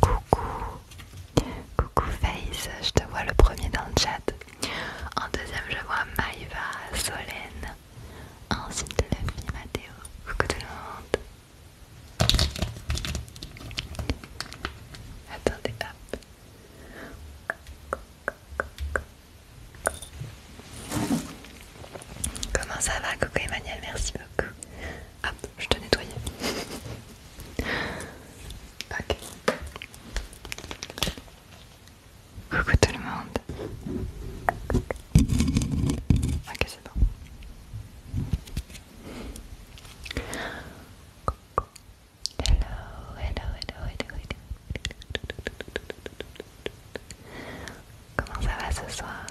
Coucou, coucou Face, je te vois le premier dans le chat. En deuxième, je vois Maïva, Solène. Ensuite, la fille Mathéo. Coucou tout le monde. Attendez, hop. Comment ça va Coucou Emmanuel, merci beaucoup. Hop, je te nettoyais. ok. Coucou tout le monde. Ok, c'est bon. Hello, hello, hello, hello, hello. Comment ça va ce soir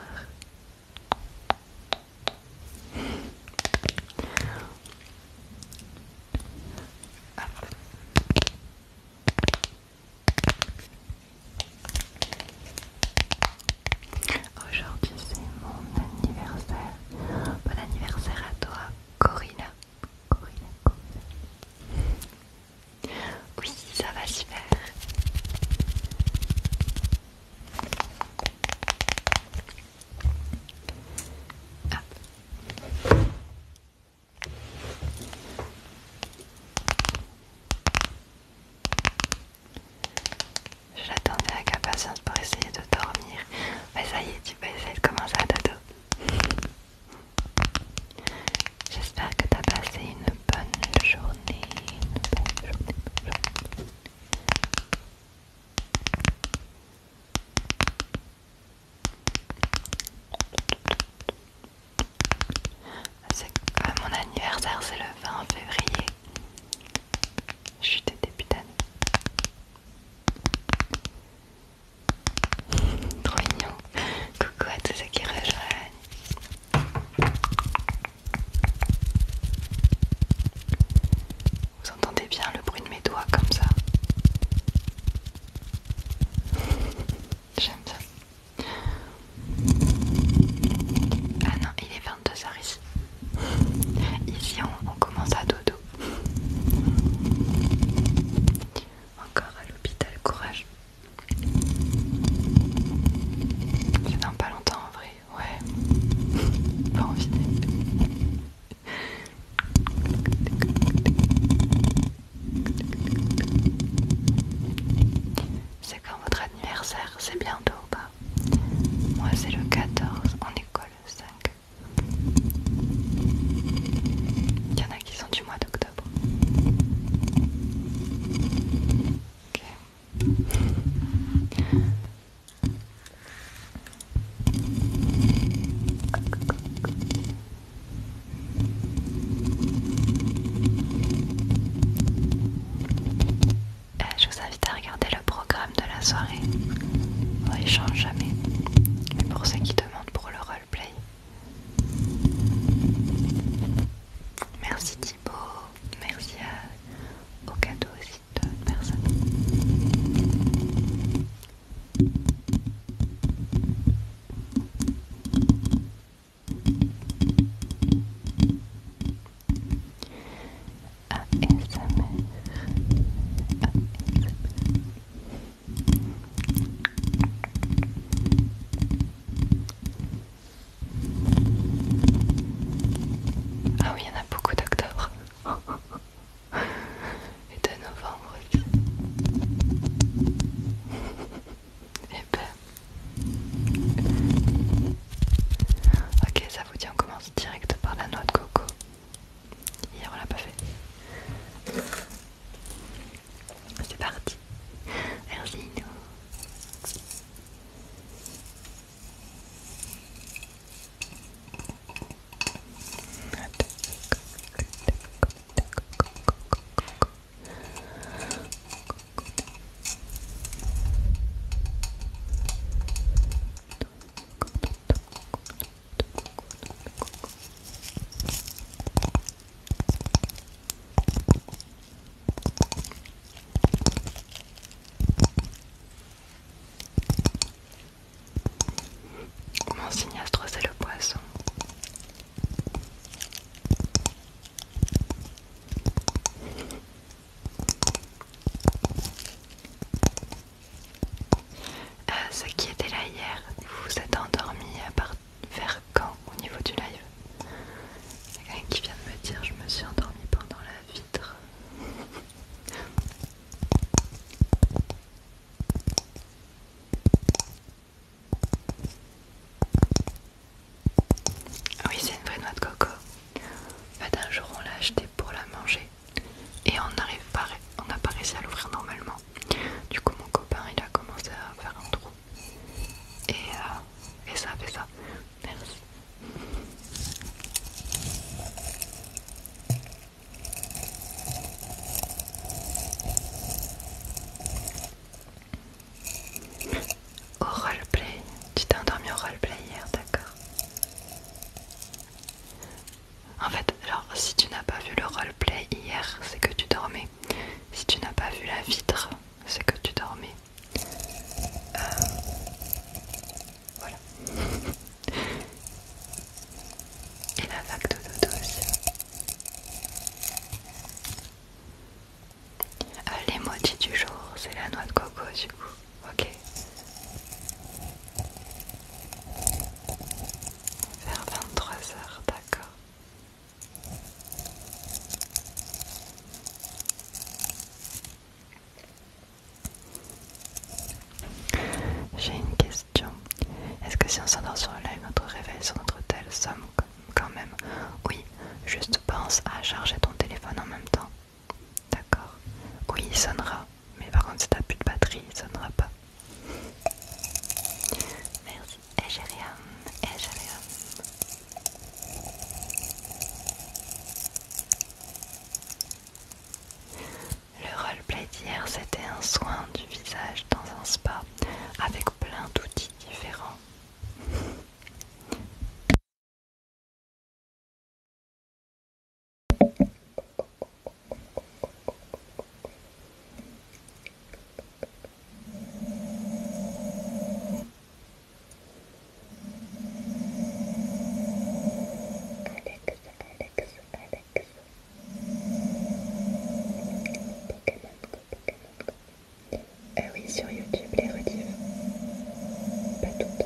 Aujourd'hui c'est mon anniversaire. Bon anniversaire à toi, Corinna. Oui, ça va se faire. Je l'attendais avec impatience pour essayer de dormir. Mais ça y est, tu peux essayer de commencer à dodo. J'espère que t'as passé une bonne journée. Ah, c'est mon anniversaire, c'est le 20 février. Je suis des début Trop mignon. Coucou à tous ceux qui rejoignent. Vous entendez bien le bruit de mes doigts comme ça J'aime ça. Ah non, il est 22h ici. Ici, on, on commence à dodo. Encore à l'hôpital, courage. C'est dans pas longtemps en vrai, ouais. Pas envie. C'est quand votre anniversaire, c'est bientôt ou pas Moi c'est le 14, on école 5 Il y en a qui sont d'octobre. Eh, je vous invite à regarder le programme de la soirée. On change jamais. Mais pour ceux qui demandent pour le roleplay, Merci Thibaut, merci à, au cadeau aussi de personne. Ah oui, il y en a beaucoup d'octobre. Et de novembre aussi. Eh ben. Ok, ça vous dit, on commence direct par la noix de coco. Hier, on l'a pas fait. C'est parti. Merci. Mon signastre, c'est le poisson. Euh, ce qui était là hier, vous vous êtes endormi à part vers quand au niveau du live Il y a quelqu'un qui vient de me dire je me suis endormie pendant la vitre. Ah oui, c'est une vraie noix de coco. Un jour, on l'a achetée pour la manger et on n'arrive pas, on n'a pas réussi à l'ouvrir normalement. Du coup, mon copain il a commencé à faire un trou euh, et, ça fait ça. Merci. Au roleplay, tu t'es endormi au roleplay hier, d'accord En fait, alors si tu n'as pas vu le roleplay hier, c'est que tu dormais. Si tu n'as pas vu la vitre, c'est que tu dormais. Euh, voilà. Et la vague de dodo aussi. Euh, les du jour, c'est la noix de coco du coup. Ok. Vers 23h, d'accord. J'ai une question. Est-ce que si on s'endort sur le live, notre réveil sur notre tel somme quand même Oui, juste pense à charger ton téléphone en même temps. D'accord. Oui, il sonnera. Mais par contre, si t'as plus de batterie, il sonnera pas. Le roleplay d'hier, c'était un soin du visage dans un spa avec plein d'outils différents. Alex, ah Alex, Alex. Pokémon Pokémon oui, sur YouTube, les Pas toutes.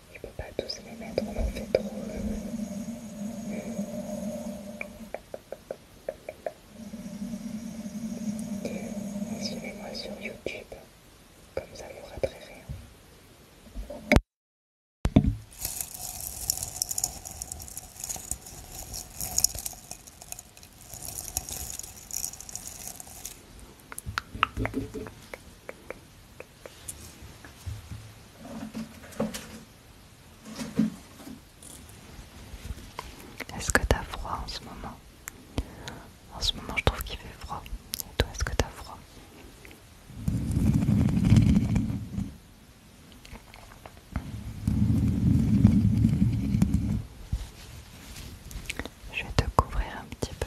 ne peux pas tous les mettre, on en fait trop. Suivez-moi sur YouTube, comme ça vous raterez rien. Est-ce que t'as froid en ce moment En ce moment, je trouve qu'il fait froid. Et toi, est-ce que t'as froid je vais te couvrir un petit peu.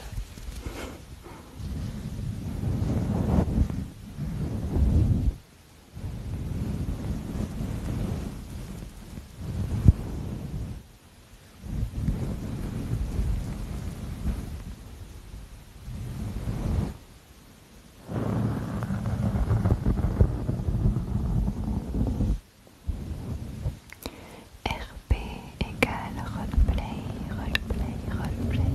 P égale roleplay, roleplay, roleplay.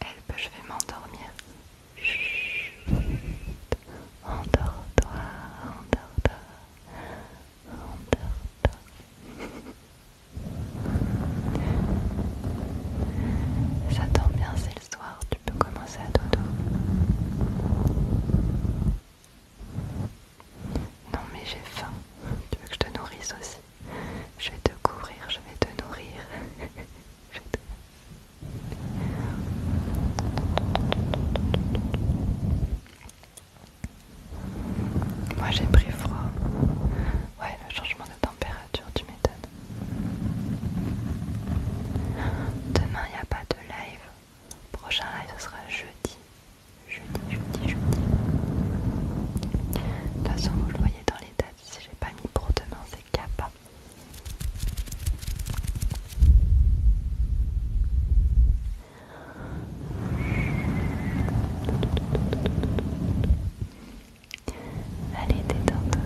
Help, je vais m'endormir. Endors-toi, endors-toi, endors-toi. Ça tombe bien, c'est le tu peux commencer à dodo. Non mais j'ai faim, tu veux que je te nourrisse aussi Je vais te couvrir, je vais te nourrir. Moi j'ai pris froid. Ouais, le changement de température, tu m'étonnes. Demain, il n'y a pas de live. Prochain live, ce sera jeudi. Jeudi, jeudi, jeudi. De toute façon, vous le voyez dans les dates. Si j'ai pas mis pour demain, c'est cap. Allez, détends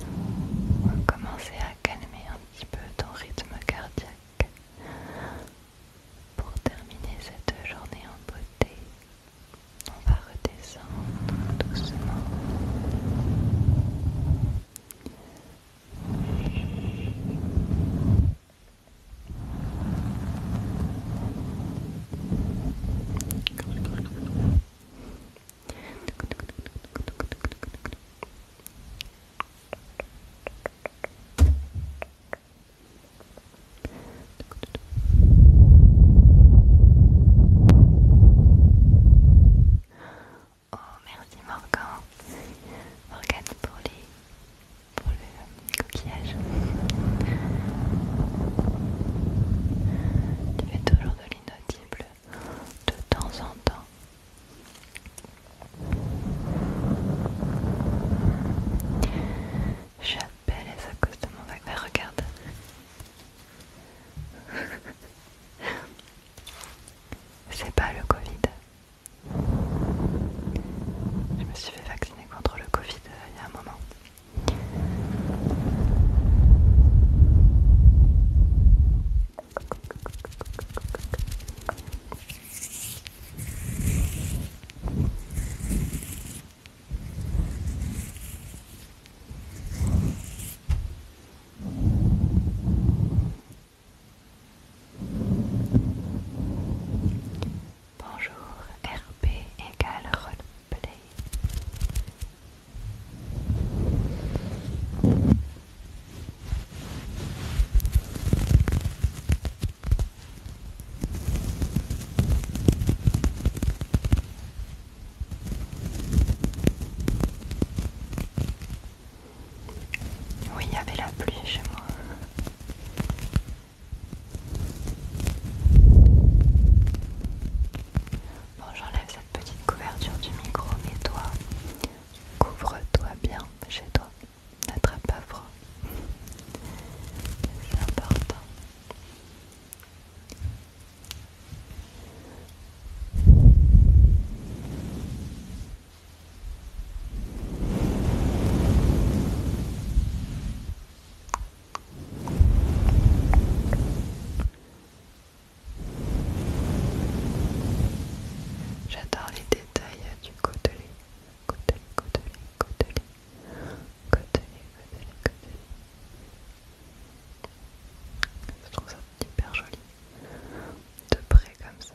on va commencer à calmer un petit peu ton rythme cardiaque pour terminer cette journée en beauté. On va redescendre doucement. Oh merci Morgan, Morgan pour les pour le coquillage. Tu fais toujours de l'inaudible de temps en temps. j'appelle suis à cause de mon vaccin. regarde. C'est pas le Covid. Je me suis fait vacciner contre le Covid euh, il y a un moment. Bonjour, RP égale roleplay. Oui, il y avait la pluie chez moi. Bon, j'enlève cette petite couverture du micro, mais toi, couvre-toi bien chez toi. N'attrape pas froid. C'est important. J'adore les détails du côtelé. Côtelé, côtelé, côtelé. Côtelé, côtelé, côtelé. Je trouve ça hyper joli. De près comme ça.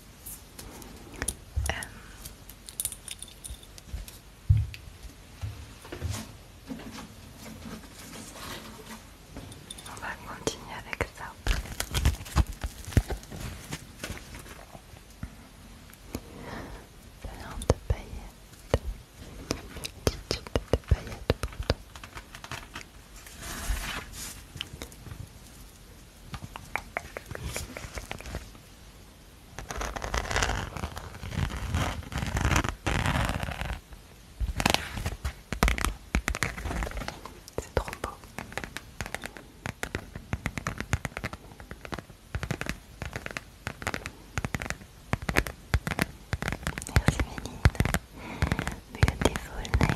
Euh, on va continuer avec ça. Plein de paillettes. Petite de paillettes pour toi. C'est trop beau. Merci Méline. Beautiful nails.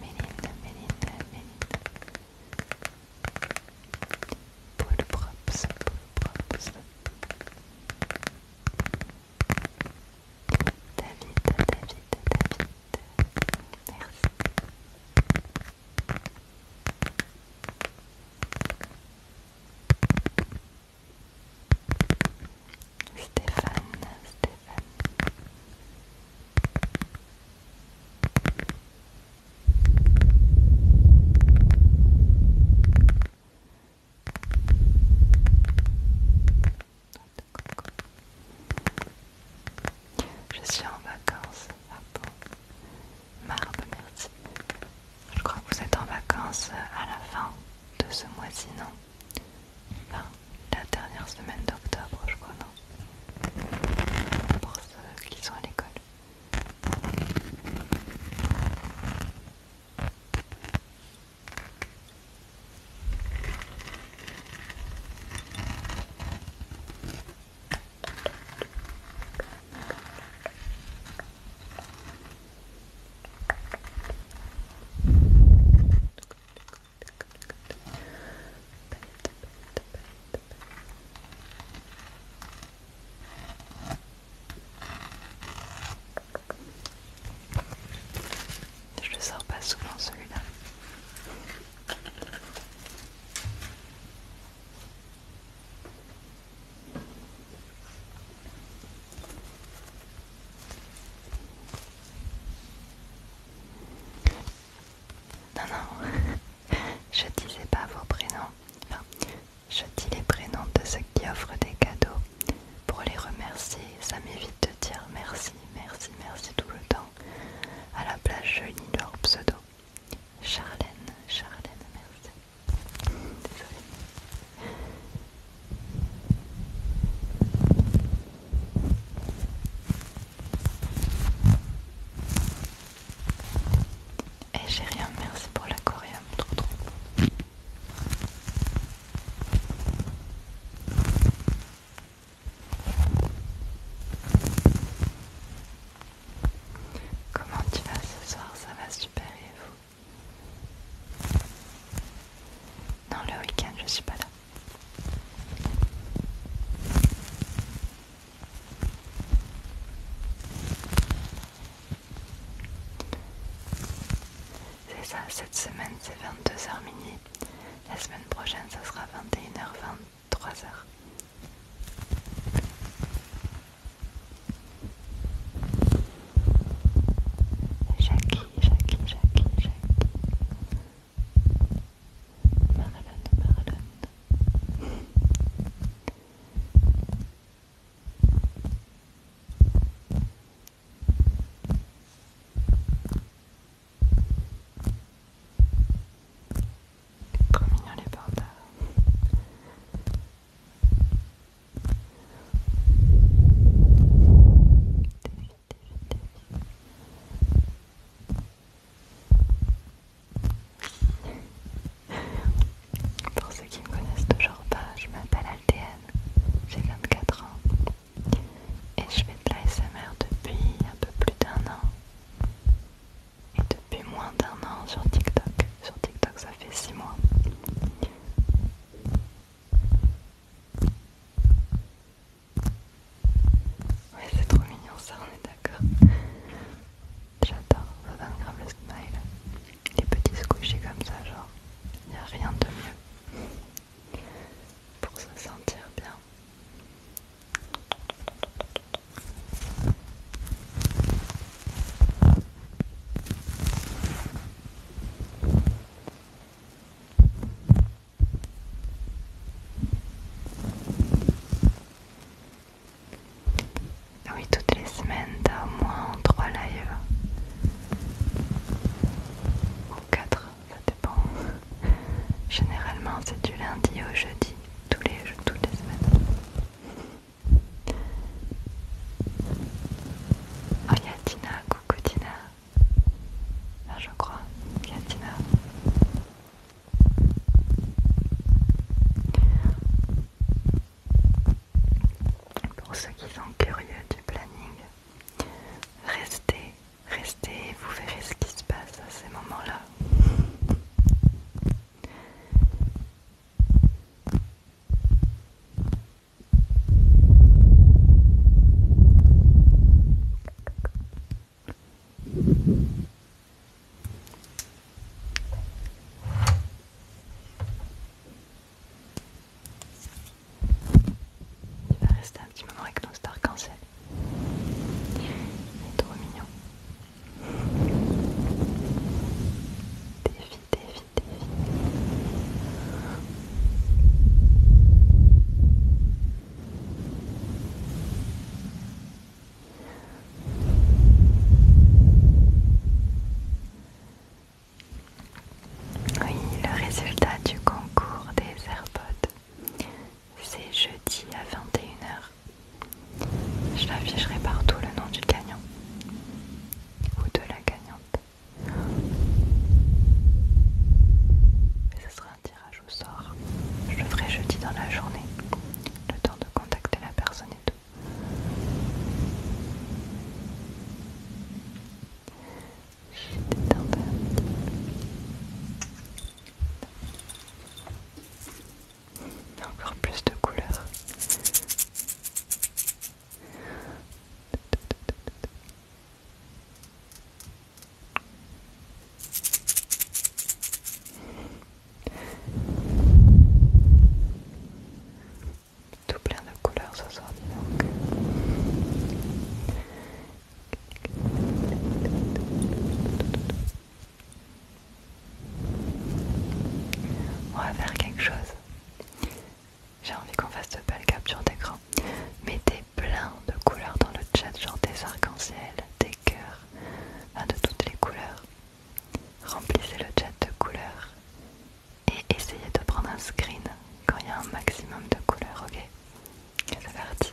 Mélinda, Mélinda, Mélinda. Poule props, poule props. David, David, David. Merci, Stéphane, Stéphane. Je suis en vacances à Je crois que vous êtes en vacances à la fin de ce mois-ci, non la dernière semaine d'octobre, je crois, non Pour ceux qui sont à l'école. Je ne sors pas souvent celui-là. Non, non, je disais pas vos prénoms. je dis les prénoms de ceux qui offrent des cadeaux pour les remercier. Ça m'évite de dire merci, merci, merci tout le temps. À la place, je lis leur pseudo. Charlène, Charlène, merci. Désolée. Et eh, j'ai rien, hein, merci pour l'aquarium, trop trop. Comment tu vas ce soir Ça va super et vous Non, le week-end je suis pas là. C'est ça, cette semaine c'est 22h minuit. La semaine prochaine ce sera 21h 23h. Jacky, Jacky Jackie, Jackie. Marlon, Marlon. y a les pandas. Pour ceux qui me connaissent toujours pas, je m'appelle Altienne, j'ai 24 ans et je fais de l'ASMR depuis un peu plus d'un an et depuis moins d'un an sur TikTok. Sur TikTok, ça fait 6 mois. Ouais, c'est trop mignon ça, on est d'accord. J'adore ça grave le smile. Les petits squishies comme ça, genre, il n'y a rien de mieux pour se sentir bien. Oui, toutes les semaines, t'as au moins 3 lives. Ou 4, ça dépend. Généralement, c'est du lundi au jeudi, tous les, toutes les semaines. Oh, y'a Tina, coucou Tina. Là, je crois, Katina. Pour ceux qui sont curieux du planning, restez, restez vous verrez ce qui se passe à ces moments-là. Il va rester un petit moment avec nos stars cancel. Il est trop mignon. Défi, défi, oui, le résultat du concours des AirPods, c'est jeudi à 21h. Je l'afficherai partout le nom du gagnant ou de la gagnante. Mais ce sera un tirage au sort. Je le ferai jeudi dans la journée. Le temps de contacter la personne et tout. Encore plus de couleurs. Tout plein de couleurs ce soir, dis donc. On va faire quelque chose. J'ai envie qu'on fasse de belle capture d'écran. Mettez plein de couleurs dans le chat, genre des arcs-en-ciel, des cœurs, de toutes les couleurs. Remplissez le chat de couleurs et essayez de prendre un screen quand il y a un maximum de couleurs, ok C'est parti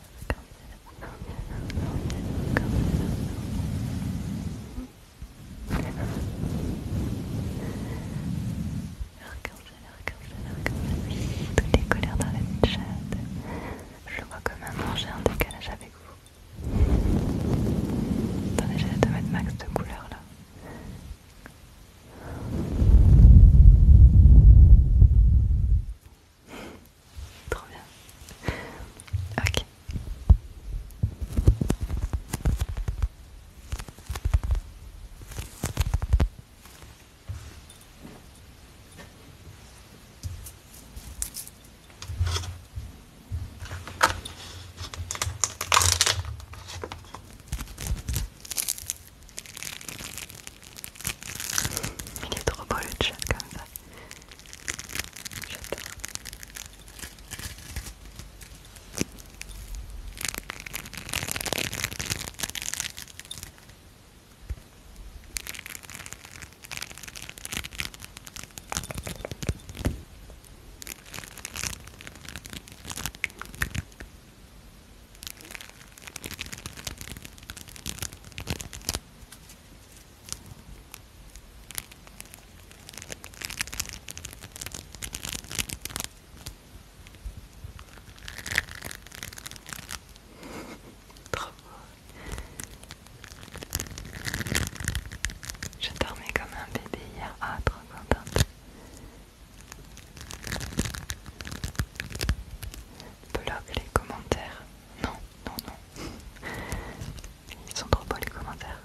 Toutes les couleurs dans la Je vois comme un j'ai un décalage avec vous. Attendez, hâte de mettre max de couleur, là. Trop bien. Ok. Il est trop beau le chat comme ça. Je dormais comme un bébé hier. Ah, trop contente. les commentaires. Non, non, non. Ils sont trop beaux les commentaires.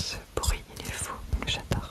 Ce bruit, il est fou, j'adore.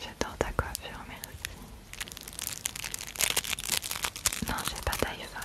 J'adore ta coiffure, mais Non, j'ai pas d'iPhone.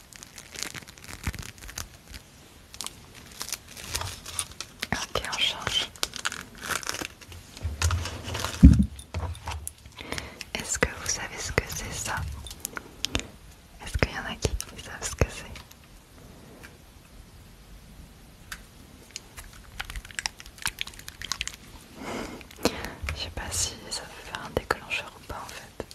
Ok, on change. Est-ce que vous savez ce que c'est ça Est-ce qu'il y en a qui savent ce que c'est Je sais pas si ça veut faire un déclencheur ou pas en fait.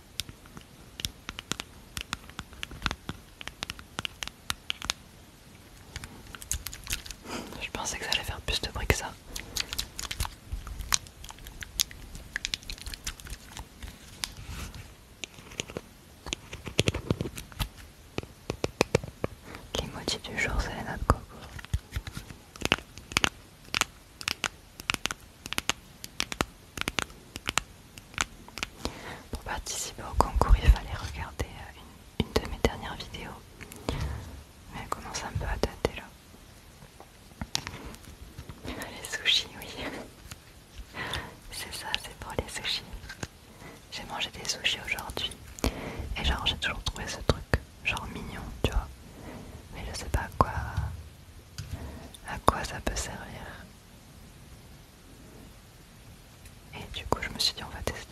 Je pensais que ça allait faire plus de bruit que ça. L'emoji du jour, c'est la coco. Pour participer au concours, il fallait regarder euh, une, de mes dernières vidéos. Mais elle commence un peu à tâter là. Les sushis, oui. C'est ça, c'est pour les sushis. J'ai mangé des sushis aujourd'hui. Et genre, j'ai toujours trouvé ce truc, genre mignon, tu vois. Mais je sais pas quoi, à quoi ça peut servir. Et du coup, je me suis dit, on va tester.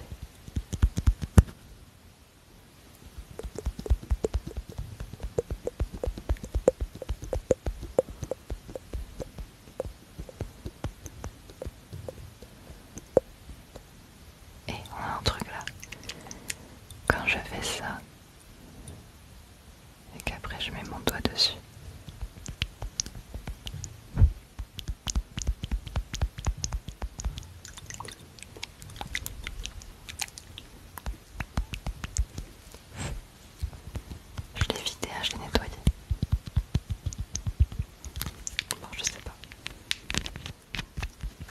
Et on a un truc là. Quand je fais ça, et qu'après je mets mon doigt dessus. Je l'ai vidé, hein, je l'ai nettoyé. Bon, je sais pas.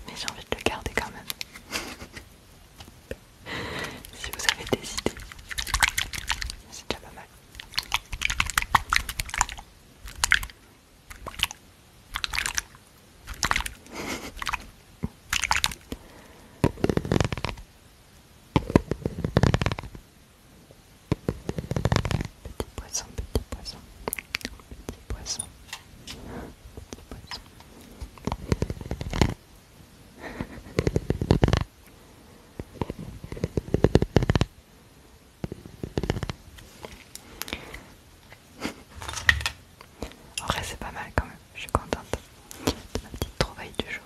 Mais j'ai envie de le garder quand même. si vous avez des idées, c'est déjà pas mal. Petit poisson, petit poisson, petit poisson, petit poisson en vrai c'est pas mal quand même, je suis contente de ma petite trouvaille du jour.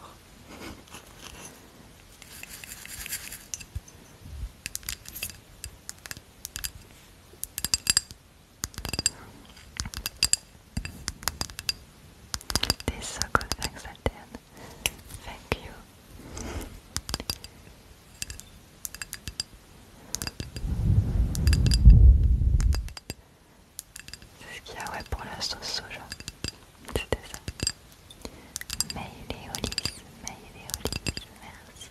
Thank you. C'est ce qu'il y a ouais, pour la sauce soja. C'était ça. Maïléolis, Maïléolis, merci.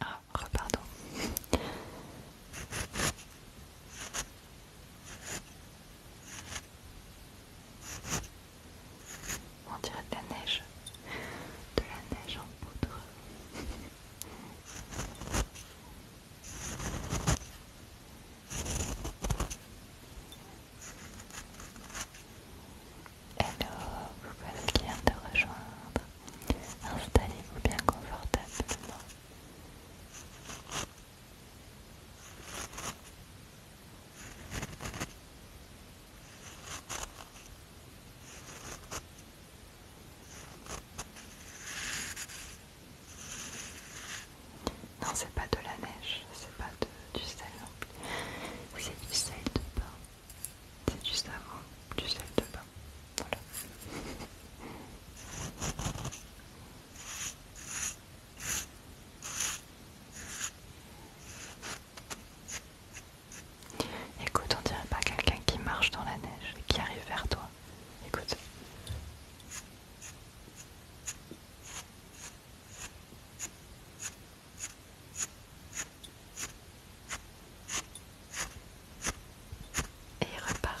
Ah, On dirait de la neige. De la neige en poudre. Hello, vous qui bien de rejoindre. Installez-vous bien confortablement. Non, c'est pas de la neige, c'est pas du sel c'est du sel de bain. C'est juste avant du sel de bain. Voilà. Écoute, on dirait pas quelqu'un qui marche dans la neige et qui arrive vers toi. Écoute. Et repart.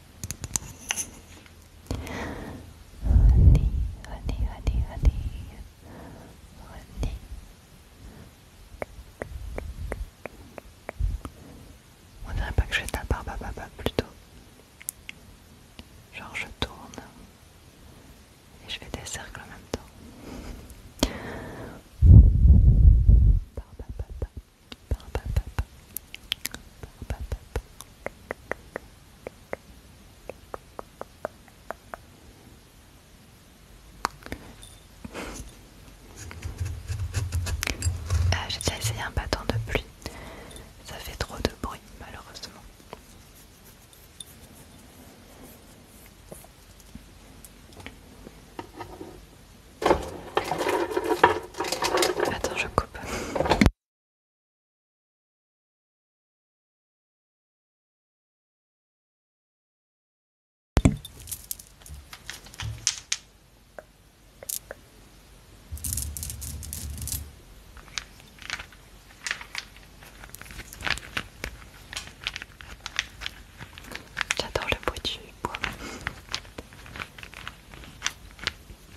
On dirait pas que je fais ta plutôt. Genre je tourne et je fais des cercles en même temps. Ah, J'ai déjà essayé un bâton de pluie. Ça fait trop de bruit malheureusement. Attends, je coupe. J'adore le bruit du bois.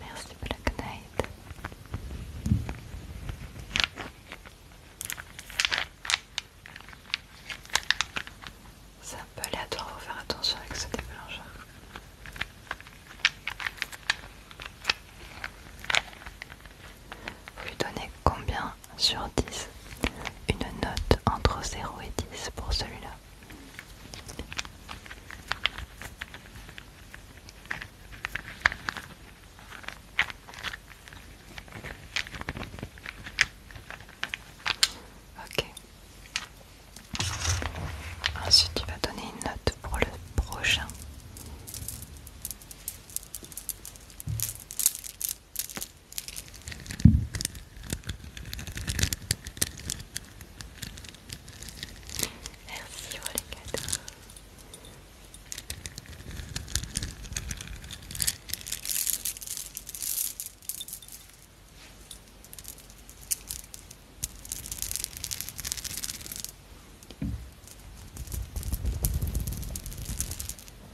Merci Black Knight. C'est un peu aléatoire, faut faire attention avec ce déclencheur. Vous lui donnez combien sur 10. Une note entre 0 et 10 pour celui-là. Ok. Ensuite, tu vas donner une note pour le prochain. Merci pour les cadeaux.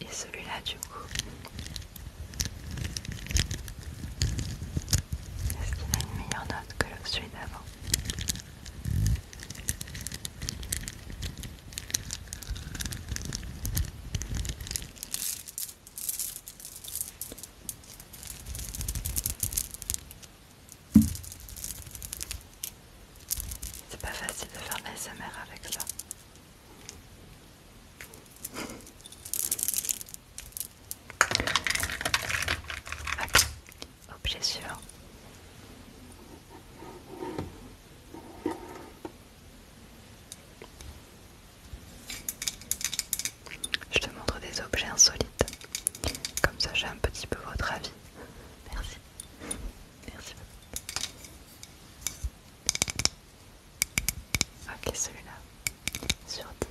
Et celui-là du coup, est-ce qu'il a une meilleure note que celui d'avant c'est pas facile de faire de l'ASMR avec ça. Ok, objet suivant. Je te montre des objets insolites. Comme ça, j'ai un petit peu votre avis. Merci. Merci beaucoup. Ok, celui-là. Sur 10.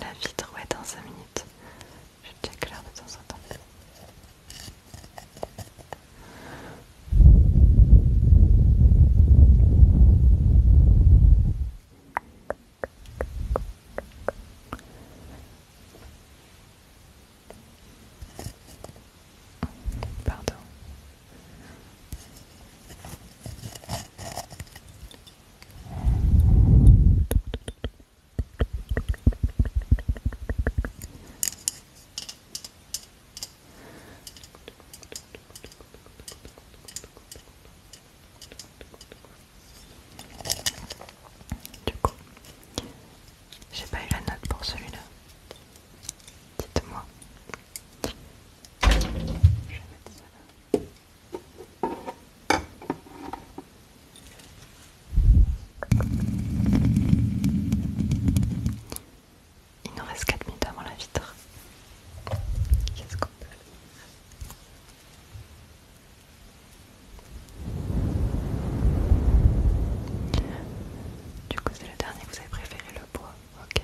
La vitre, est dans 5 minutes. Je check l'heure de temps en temps. Pardon. Du coup, j'ai pas eu la note pour celui-là. Dites-moi. Je vais mettre ça là. Il nous reste 4 minutes avant la vitre. Qu'est-ce qu'on peut Du coup, c'est le dernier que vous avez préféré. Et le bois, ok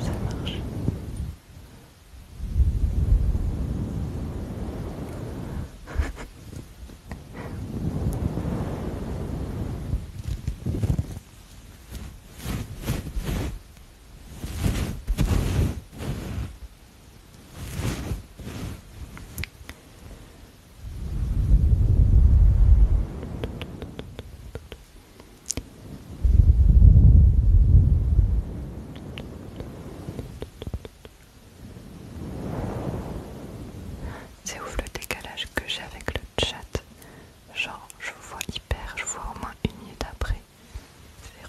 Ça marche. C'est ouf le décalage que j'ai avec le chat. Genre, je vois hyper, je vois au moins une minute après. C'est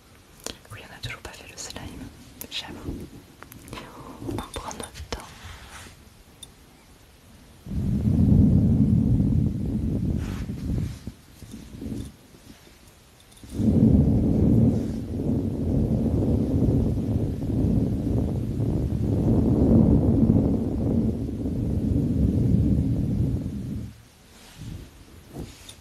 Oui, on n'a toujours pas fait le slime, j'avoue. On prend notre temps.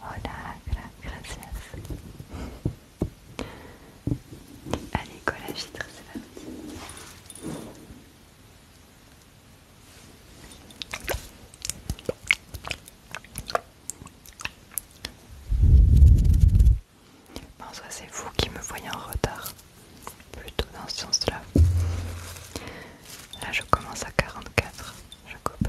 Hola, gracias. Allez, go la vitre, c'est parti. c'est vous qui me voyez en retard, plutôt dans ce sens-là. Là, je commence à 44. Je coupe.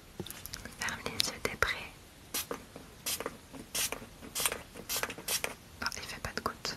Ferme les yeux, t'es prêt Oh, il fait pas de gouttes.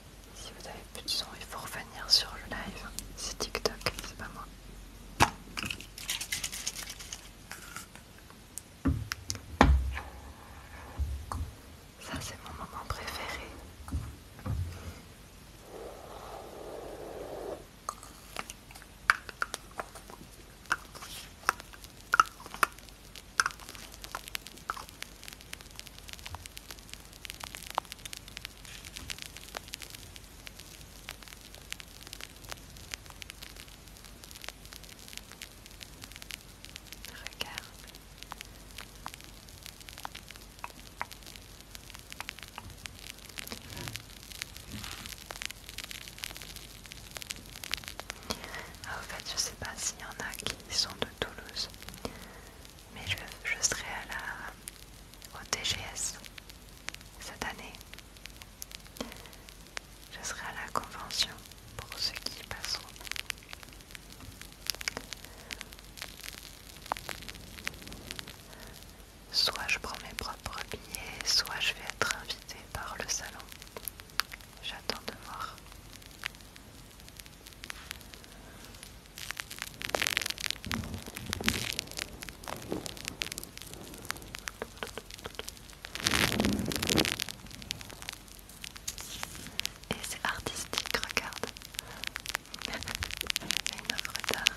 Si vous avez plus de son, il faut revenir sur le live. C'est TikTok, c'est pas moi. Ça, c'est mon moment préféré. Regarde. en je sais pas s'il y en a qui sont de Toulouse mais je, serai à la, au TGS cette année. Je serai à la convention pour ceux qui y passeront. Soit je prends mes propres billets, soit je vais être invitée par le salon. J'attends de voir. Et c'est artistique, regarde. Une œuvre d'art.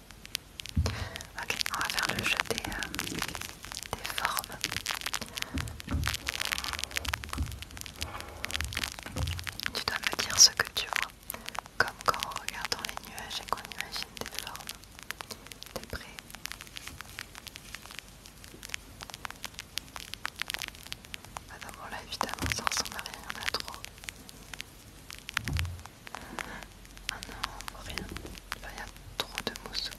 Ok, on va faire le jeu euh, des, formes. Tu dois me dire ce que tu vois, comme quand on regarde dans les nuages et qu'on imagine des formes. T'es prêt ah non, bon là évidemment ça ressemble à rien, il y en a trop. Ah non, rien. Il y a trop de mousse.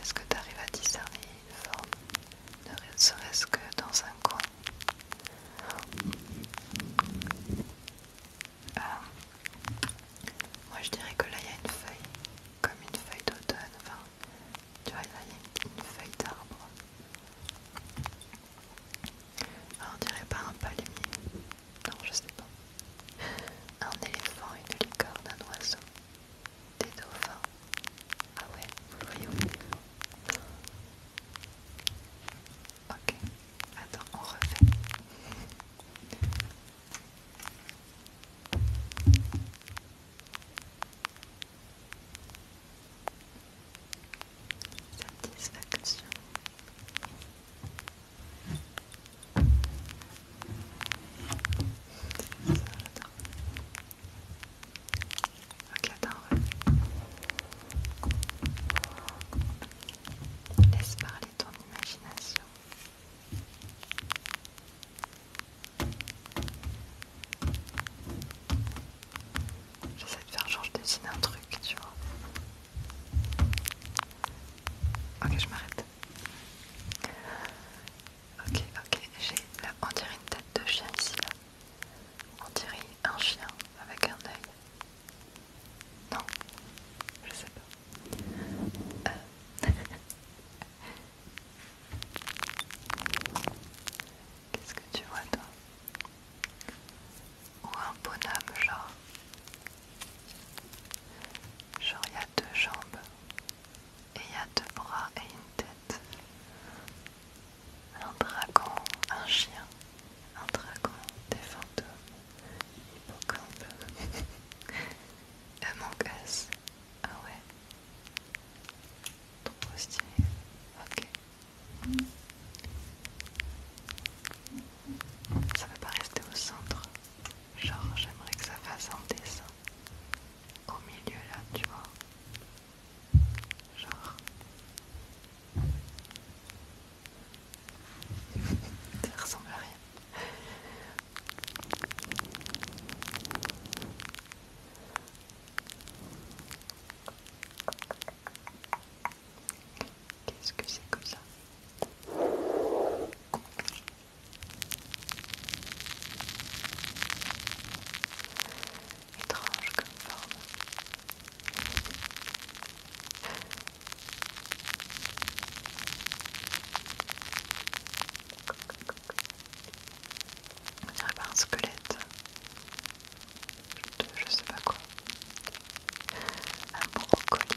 Est-ce que tu arrives à discerner une forme Ne serait-ce que dans un coin ah, Moi je dirais que là il y a une feuille, comme une feuille d'automne. Enfin, tu vois, là il y a une feuille d'arbre. Ah, on dirait pas un palmier, non, je sais pas. Un éléphant, une licorne, un oiseau, des dauphins. Ah ouais, vous voyez voyons. Ok, attends, on refait. Satisfaction. Laisse parler ton imagination. J'essaie de faire genre je dessine un truc, tu vois. Ok, je m'arrête. Ok, ok, j'ai là, on dirait une tête de chien ici là. On dirait un chien avec un œil. Non, je sais pas. Euh. Qu'est-ce que tu vois toi Ou un bonhomme genre Genre il y a deux jambes et il y a deux bras et une tête. Un dragon, un chien, un dragon, des fantômes, hippocampe, un Us. Ah ouais, trop stylé. Ok. Ça ne va pas rester au centre. Genre, j'aimerais que ça fasse un dessin au milieu là, tu vois. Genre. ça ressemble à rien. Qu'est-ce que c'est que ça Étrange comme forme. On dirait pas un squelette. Je, je sais pas quoi. Un brocoli.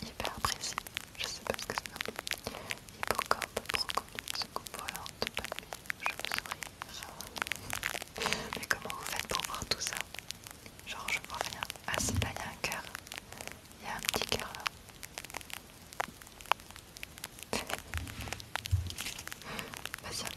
C'est hyper précis, je sais pas ce que c'est. Hippocampe, brocoli, secoupe volante, papier, Je souris souviens. Mais comment vous faites pour voir tout ça Genre, je vois rien. Ah, c'est là, il y a un cœur. Il y a un petit cœur là. Vas-y,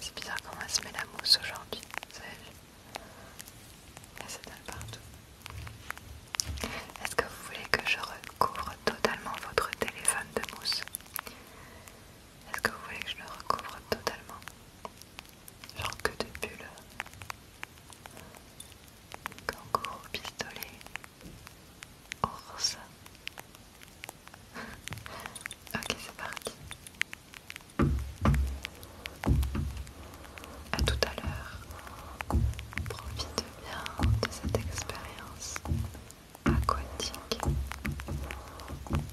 C'est bizarre comment elle se met la mousse aujourd'hui, vous avez Elle s'étale partout. Est-ce que vous voulez que je recouvre totalement votre téléphone de mousse est-ce que vous voulez que je le recouvre totalement Genre que de bulles Kangourou, pistolet, ours. ok, c'est parti. A tout à l'heure. Profite bien de cette expérience aquatique.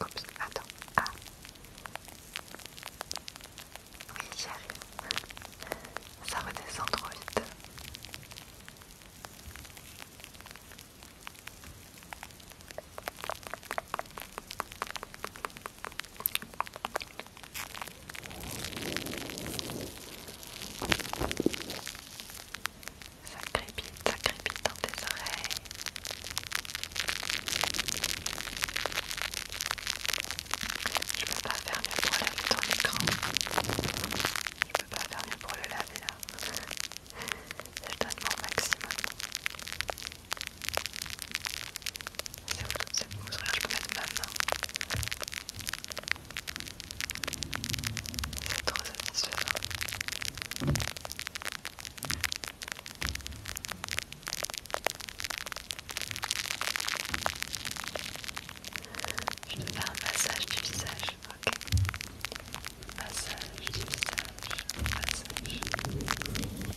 Oups, attends. Ah. Oui, y arrive. Ça redescend trop vite. Ça crépite, ça crépite dans tes oreilles. Je peux pas faire mieux pour laver ton écran. Je peux pas faire mieux pour le laver hein. là. Je donne mon maximum. C'est où c'est bon, je peux mettre ma main. C'est trop satisfaisant. Je te faire un massage du visage, ok Massage du visage, massage.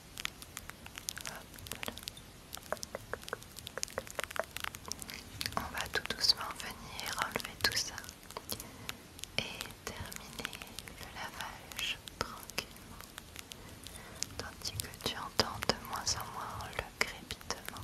On va tout doucement venir enlever tout ça et terminer le lavage tranquillement, tandis que tu entends de moins en moins le crépitement.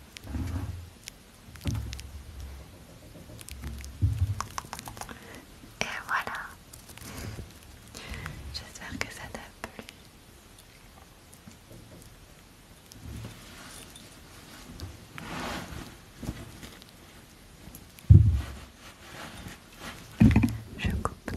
Et voilà. J'espère que ça t'a plu. Je coupe.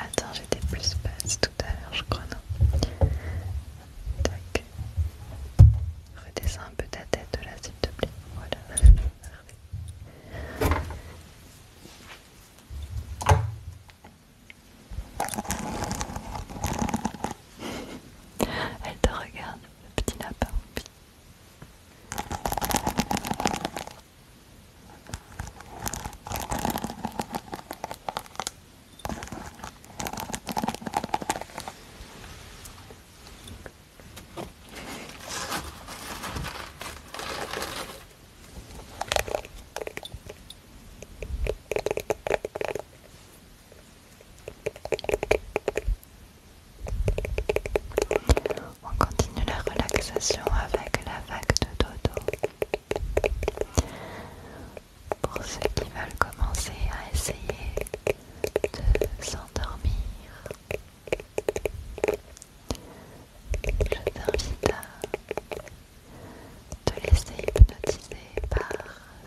Attends, j'étais plus basse tout à l'heure, je crois, non Tac. un peu ta tête là, s'il te plaît. Voilà. Elle te regarde, le petit lapin. On continue la relaxation avec la vague de dodo. Pour ceux qui veulent commencer à essayer de s'endormir, je t'invite à te laisser hypnotiser par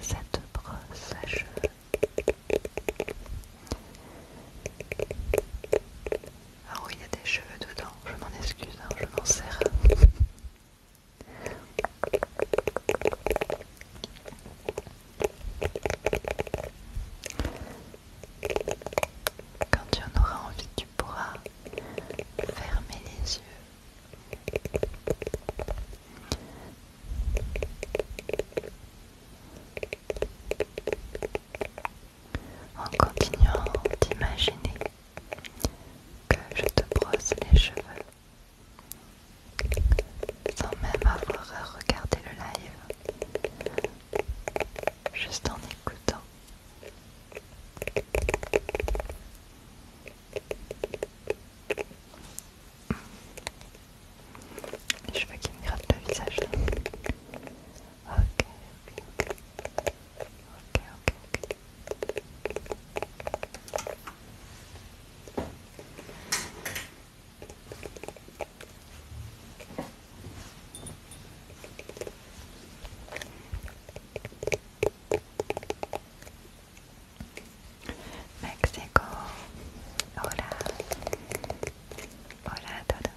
cette brosse à cheveux. Ah oui, il y a des cheveux dedans, je m'en excuse, hein, je m'en sers. Quand tu en auras envie, de pourra fermer les yeux. En continuant d'imaginer que je te brosse les cheveux sans même avoir à regarder le live, juste en écoutant je veux qu'il me gratte le visage là. México. Hola. Hola todos.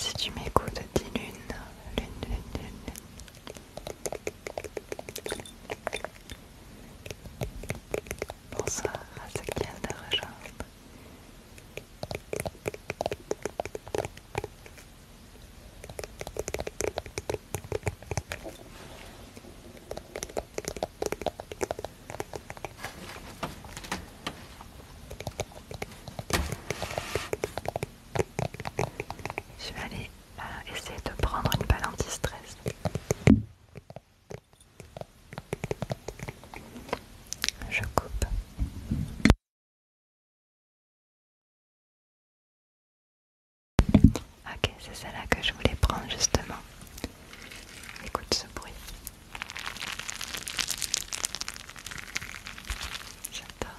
Si tu m'écoutes, dis lune. Lune, lune, lune. Bonsoir à ceux qui viennent de rejoindre. Je vais aller euh, essayer de prendre une balle anti-stress. Je coupe. Ok, c'est celle-là que je voulais prendre justement. Écoute ce bruit. J'adore.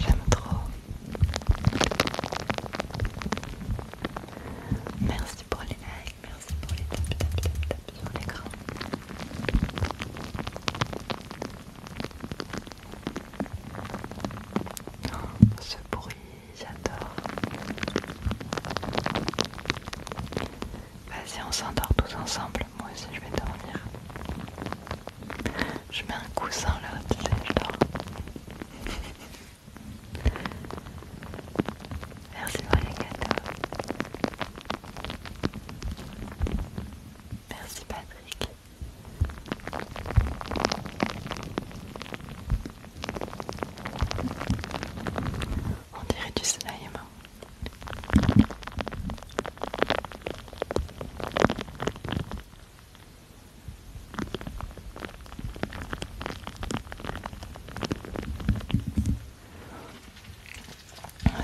J'aime trop. Merci pour les likes, merci pour les tap tap tap tap sur l'écran. Oh, ce bruit, j'adore. Vas-y, on s'endort tous ensemble. Moi aussi, je vais dormir. Je mets un coussin là, tu sais, je dors. Merci pour les Merci Patrick. On dirait du cinéma.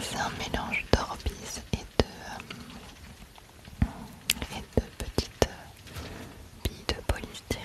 C'est un mélange d'orbis et de, euh, de petites euh, billes de polystyrène.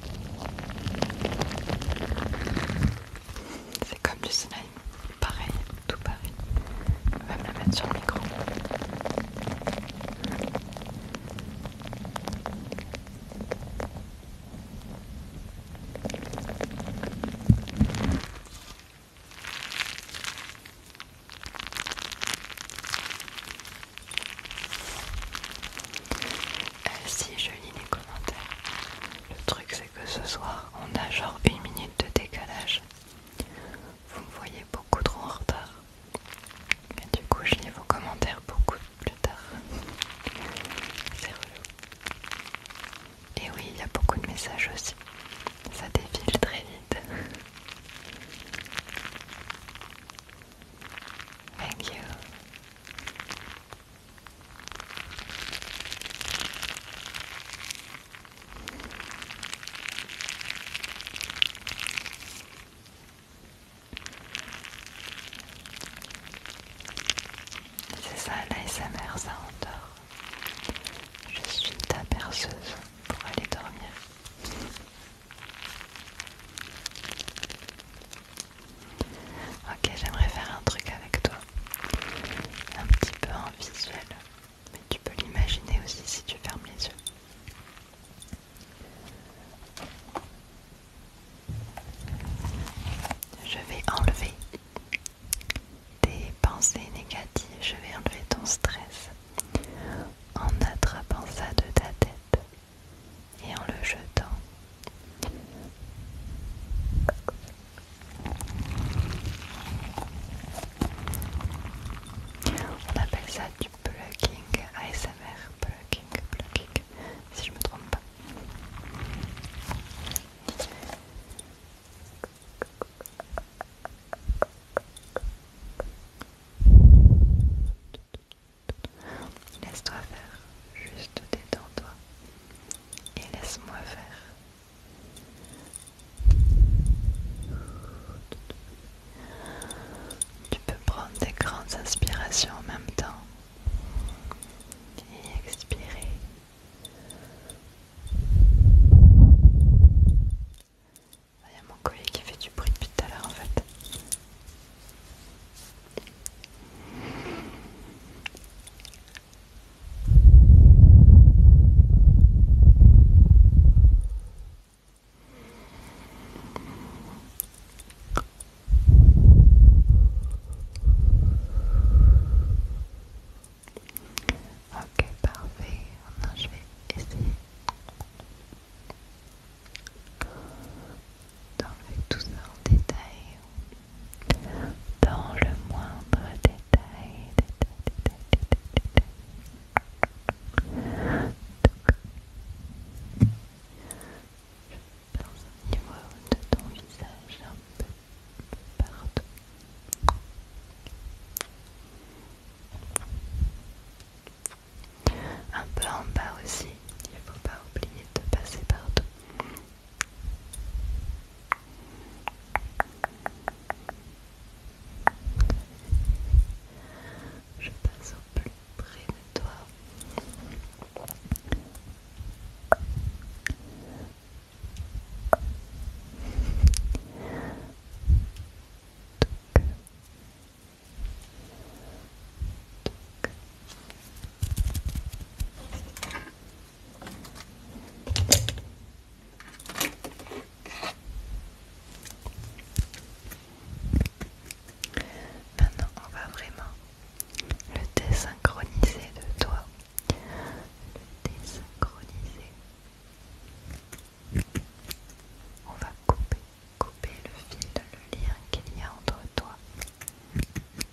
C'est comme du soleil, pareil, tout pareil. On va me la mettre sur le micro. Euh, si je lis les commentaires. Le truc c'est que ce soir on a genre une minute de décalage. Vous me voyez beaucoup trop en retard. Et du coup je lis vos commentaires beaucoup plus tard. C'est Et oui, il y a beaucoup de messages aussi. Ça défile très vite. Thank you. C'est ça mère, ça endort. Je suis ta perceuse pour aller dormir. Ok, j'aimerais faire un truc avec toi, un petit peu en visuel, mais tu peux l'imaginer aussi si tu fermes les yeux. Je vais enlever tes pensées négatives, je vais enlever ton stress en attrapant ça de ta tête et en le jetant. On appelle ça du plugging, ASMR, plugging, plugging, si je me trompe pas. Laisse-toi faire, juste détends-toi et laisse-moi faire. Tu peux prendre des grandes inspirations en même temps et expirer. Il y a mon collier qui fait du bruit depuis tout à l'heure en fait. Ok, parfait. Maintenant, je vais essayer dans tout ça en détail, dans le moindre détail, détail, détail, niveau de ton visage un peu partout. Un peu en bas aussi, il ne faut pas oublier de passer partout. Je passe au plus près de toi. Maintenant, on va vraiment le désynchroniser de toi. Le désynchroniser. On va couper, couper le fil, le lien qu'il y a entre toi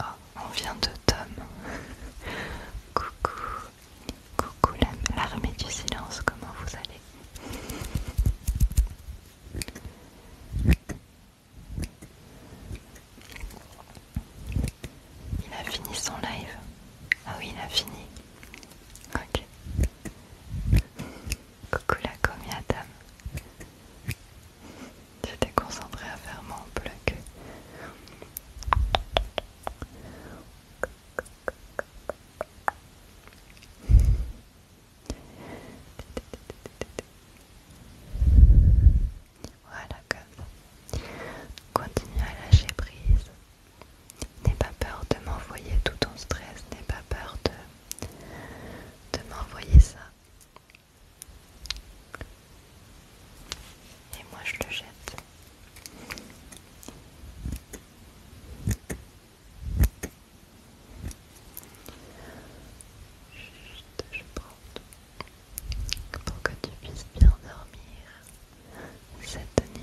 Oh, on vient de Tom. Coucou. Coucou l'armée du silence, comment vous allez Il a fini son live. Ah oui, il a fini. Ok. Coucou la Tom. J'étais concentrée à faire mon bloc Voilà, comme ça. Continue à lâcher prise. N'aie pas peur de m'envoyer tout ton stress, n'aie pas peur de, de m'envoyer ça. Et moi je le jette. je prends pour que tu puisses bien dormir cette nuit.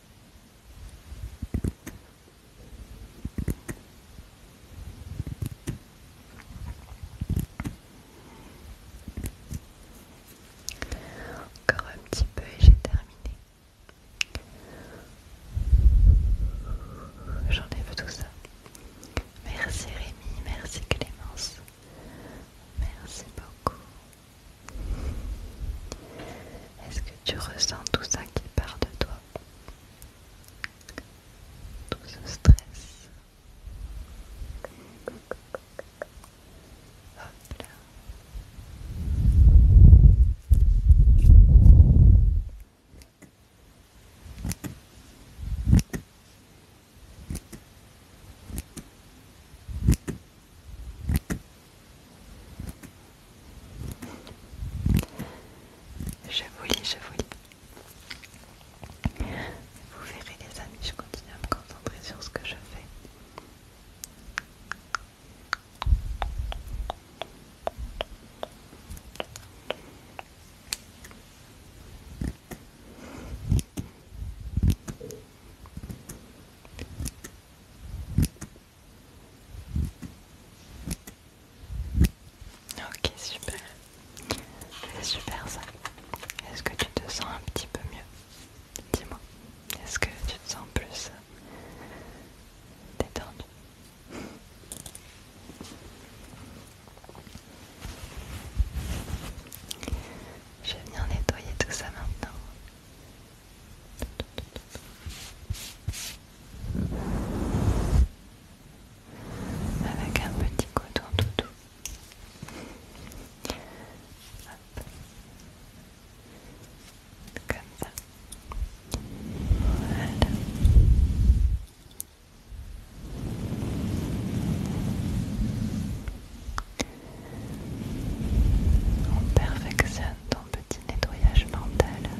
Encore un petit peu et j'ai terminé. j'en ai vu tout ça. Merci Rémi, merci Clémence. Merci beaucoup. Est-ce que tu ressens tout ça qui part de toi Tout ce stress je vous lis, je vous lis. Vous verrez les amis, je continue à me concentrer sur ce que je fais. Ok, super. C'est super ça. Est-ce que tu te sens un petit peu mieux Dis-moi. Est-ce que tu te sens plus euh, détendu Je vais venir nettoyer tout ça maintenant avec un petit coton doudou. Hop. Comme ça. Voilà. On perfectionne ton petit nettoyage mental.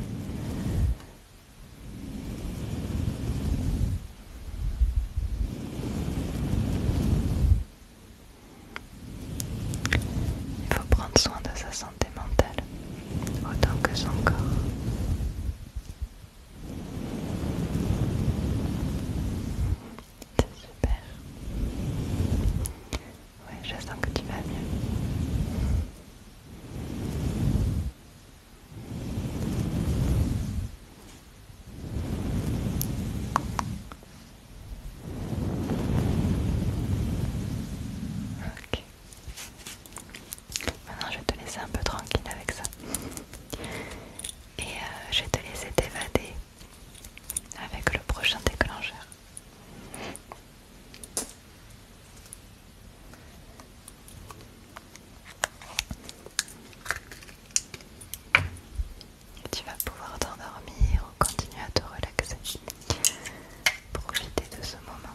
Il faut prendre soin de sa santé mentale autant que son corps. C'est super. Ouais, je que tu vas mieux. Ok. Maintenant, je vais te laisser un peu tranquille avec ça. Et euh, je vais te laisser t'évader avec le prochain déclencheur. Tu vas pouvoir t'endormir ou continuer à te relaxer. Profiter de ce moment.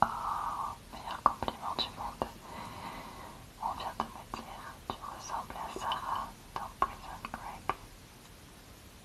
Oh, meilleur compliment du monde. On vient de me dire, tu ressembles à Sarah dans Prison Merci.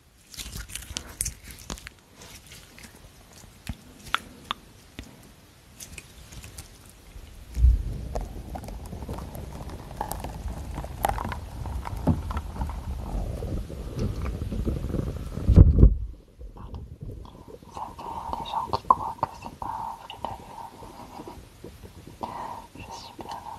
Ça des gens qui croient que c'est pas vrai d'ailleurs. Je suis bien là.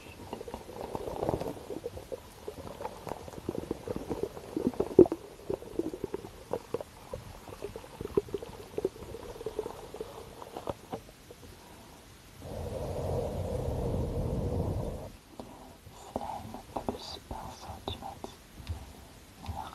plus pinceau, centimètre, m'as Meilleur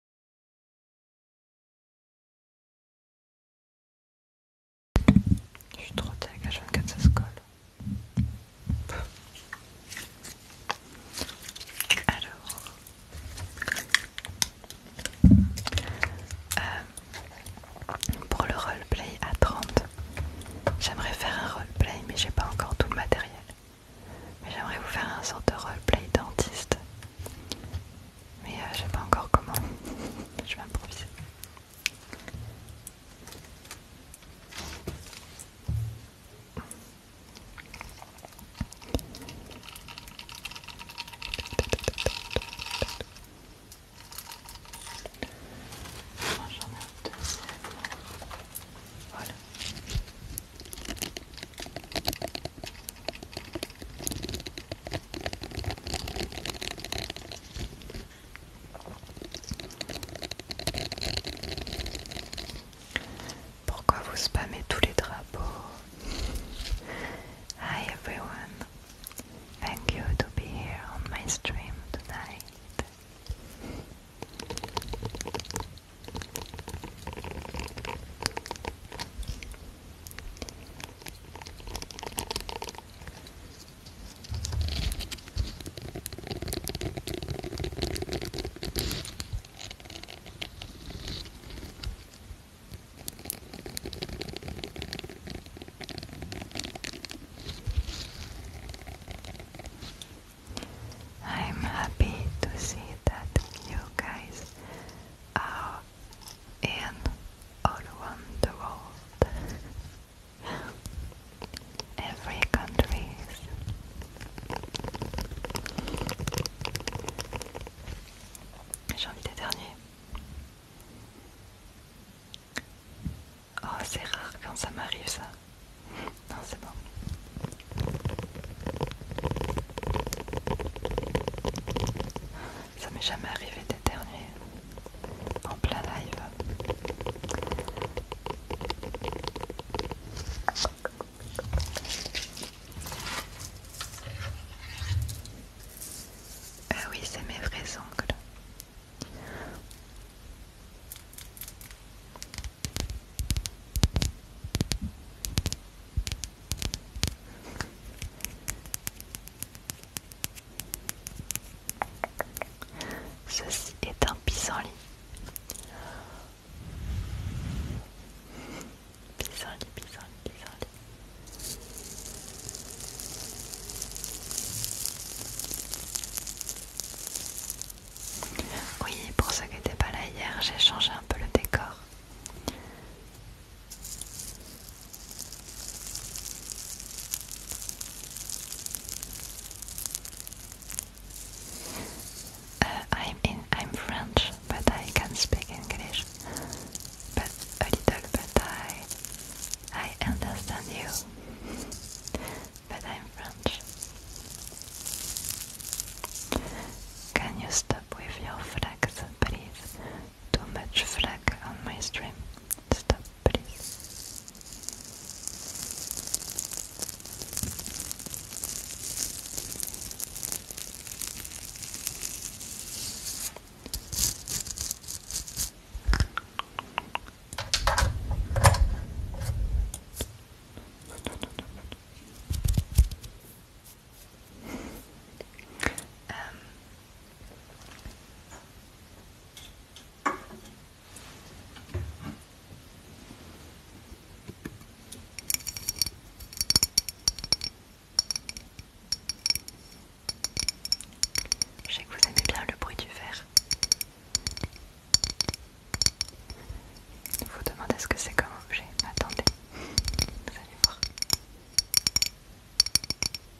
Je suis trop la H24 ça se colle. Alors, euh, pour le roleplay à 30, j'aimerais faire un roleplay, mais j'ai pas encore tout le matériel. Mais j'aimerais vous faire un sorte de roleplay dentiste mais euh, je ne sais pas encore comment. je vais improviser. Pourquoi vous spammez tous les drapeaux Hi everyone, thank you to be here on my stream tonight. I'm happy to see that you guys are Et all around the world. Every country. J'ai envie des derniers. Oh, c'est rare quand ça m'arrive ça. Non, c'est bon. Ça m'est jamais arrivé d'éternuer en plein live. Ah oui, c'est mes vrais ongles. Ceci est un pissenlit. Pissenlit, pissenlit, pissenlit. Oui, pour ceux qui n'étaient pas là hier, j'ai changé un peu le décor. Uh, I'm in. I'm French, but I can speak English. But a little, but I, I understand you. but I'm French. Can you stop with your flags, please? Too much flack on my stream. Stop, please. Euh, je sais que vous aimez bien le bruit du verre. Vous demandez ce que c'est comme objet. Attendez, vous allez voir. Tous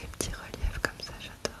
les petits reliefs comme ça, j'adore.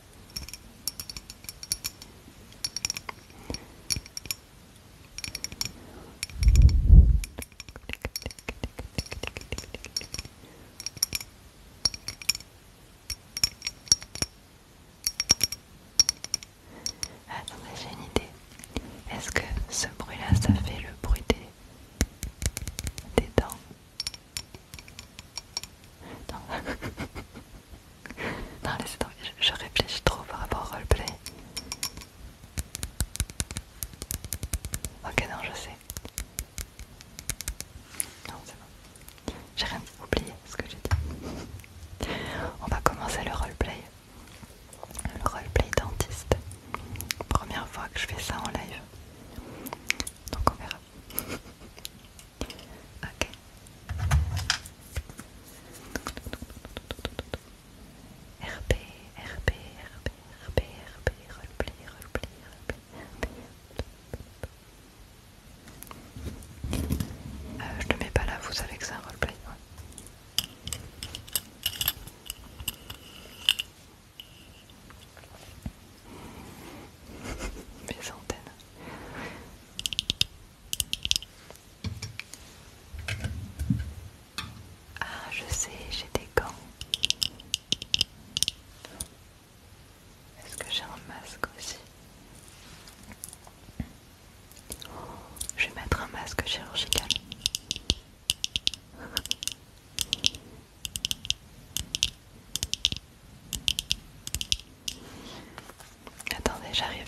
mais j'ai une idée. Est-ce que ce bruit-là, ça fait le bruit des, dents non, laissez tomber, je, réfléchis trop par rapport au roleplay. Ok, non, je sais. Non, c'est bon. J'ai rien oublié ce que j'ai dit. On va commencer le roleplay. Le roleplay dentiste. Première fois que je fais ça en live. Donc on verra. Ok. RP, RP, RP, RP, RP, R.P, R.P... RP, Euh, je ne mets pas là, vous savez que c'est un roleplay. Ah, je sais, j'ai des gants. Est-ce que j'ai un masque aussi Je vais mettre un masque chirurgical. Attendez, j'arrive.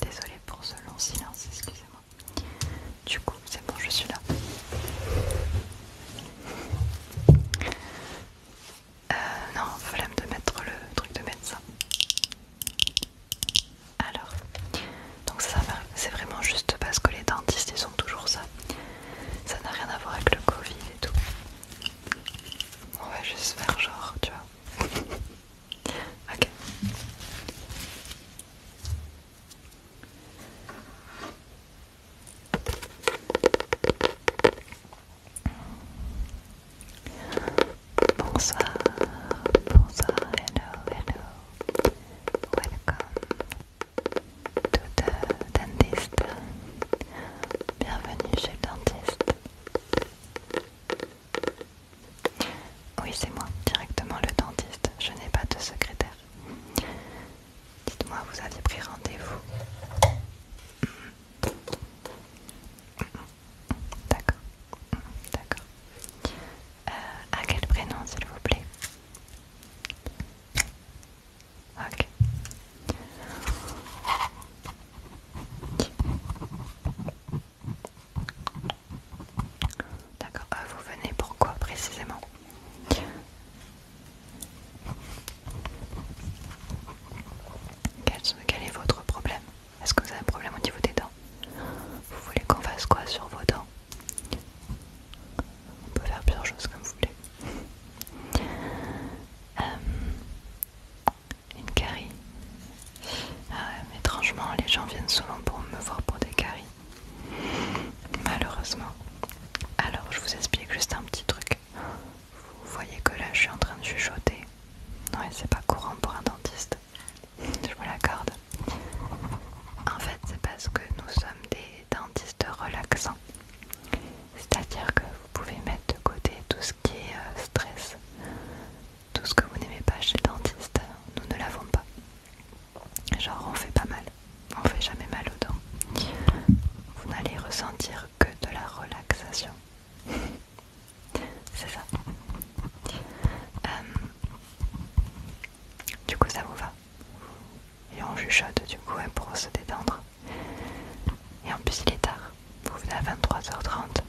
Désolée pour ce long silence, excusez-moi. Du coup, c'est bon, je suis là. Euh, non, fallait de mettre le truc de médecin. Alors, donc ça, c'est vraiment juste parce que les dentistes ils sont toujours ça. Ça n'a rien à voir avec le Covid et tout. On va juste faire genre, tu vois. Okay. Bonsoir, hello, hello. Welcome to the dentist. Bienvenue chez le dentiste. Oui, c'est moi, directement le dentiste. Je n'ai pas de secrétaire. Dites-moi, vous aviez pris rendez-vous D'accord, d'accord. Euh, à quel prénom, s'il vous plaît Ok. D'accord, euh, vous venez pourquoi précisément quel, est votre problème Est-ce que vous avez un problème au niveau des dents Vous voulez qu'on fasse quoi sur vos dents On peut faire plusieurs choses comme vous voulez. Euh, une carie ah mais étrangement, les gens viennent souvent pour me voir pour des caries. Malheureusement. Alors, je vous explique juste un petit truc. Vous voyez que là, je suis en train de chuchoter. Non, et c'est pas courant pour un dentiste. Je me l'accorde. En fait, c'est parce que nous sommes des dentistes relaxants. C'est-à-dire que vous pouvez mettre de côté tout ce qui est euh, stress, tout ce que vous n'aimez pas chez le dentiste, nous ne l'avons pas. Genre on fait pas mal, on fait jamais mal aux dents. Vous n'allez ressentir que de la relaxation. C'est ça. Euh, du coup ça vous va Et on chuchote du coup hein, pour se détendre. Et en plus il est tard. Vous venez à 23h30.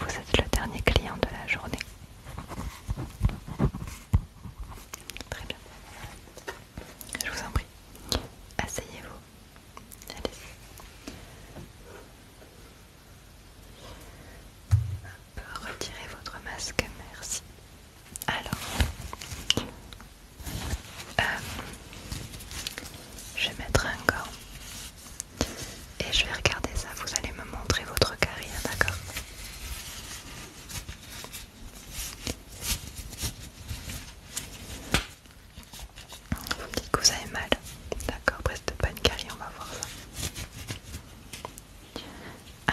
Vous êtes le dernier client de la journée. Très bien. Je vous en prie. Asseyez-vous. Allez. Retirez votre masque, merci. Alors, euh, je vais mettre un gant et je vais regarder ça, vous allez me montrer votre carrière, d'accord Vous dites que vous avez mal, d'accord Presque pas une carrière, on va voir ça.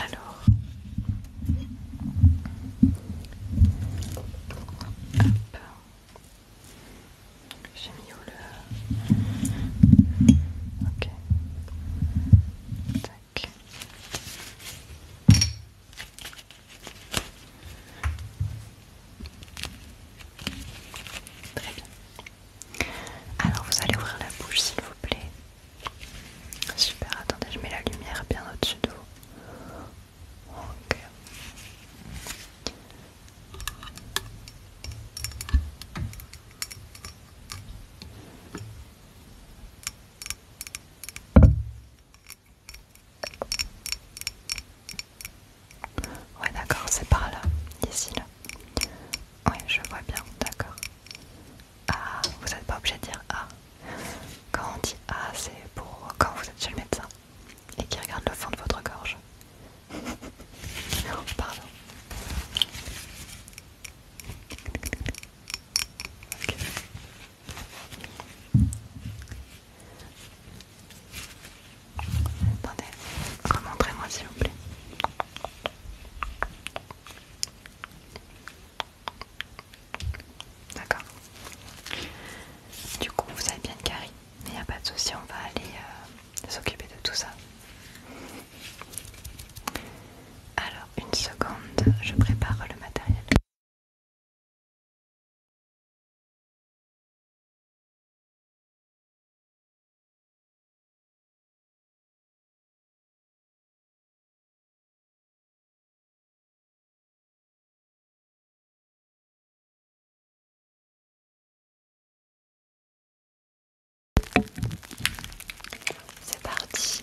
Alors, alors vous allez ouvrir la bouche s'il vous plaît. Super, attendez, je mets la lumière bien au-dessus de vous. Ouais d'accord, c'est par là, ici là. Ouais, je vois bien, d'accord. Ah, vous n'êtes pas obligé de dire ah. Quand on dit ah, c'est pour quand vous êtes chez le médecin et qui regarde le fond de votre gorge. Pardon. Attendez, remontrez-moi s'il vous plaît. D'accord. Du coup, vous avez bien une carie. Mais il n'y a pas de souci, on va aller euh, s'occuper de tout ça. Alors, une seconde, je prépare le matériel. C'est parti.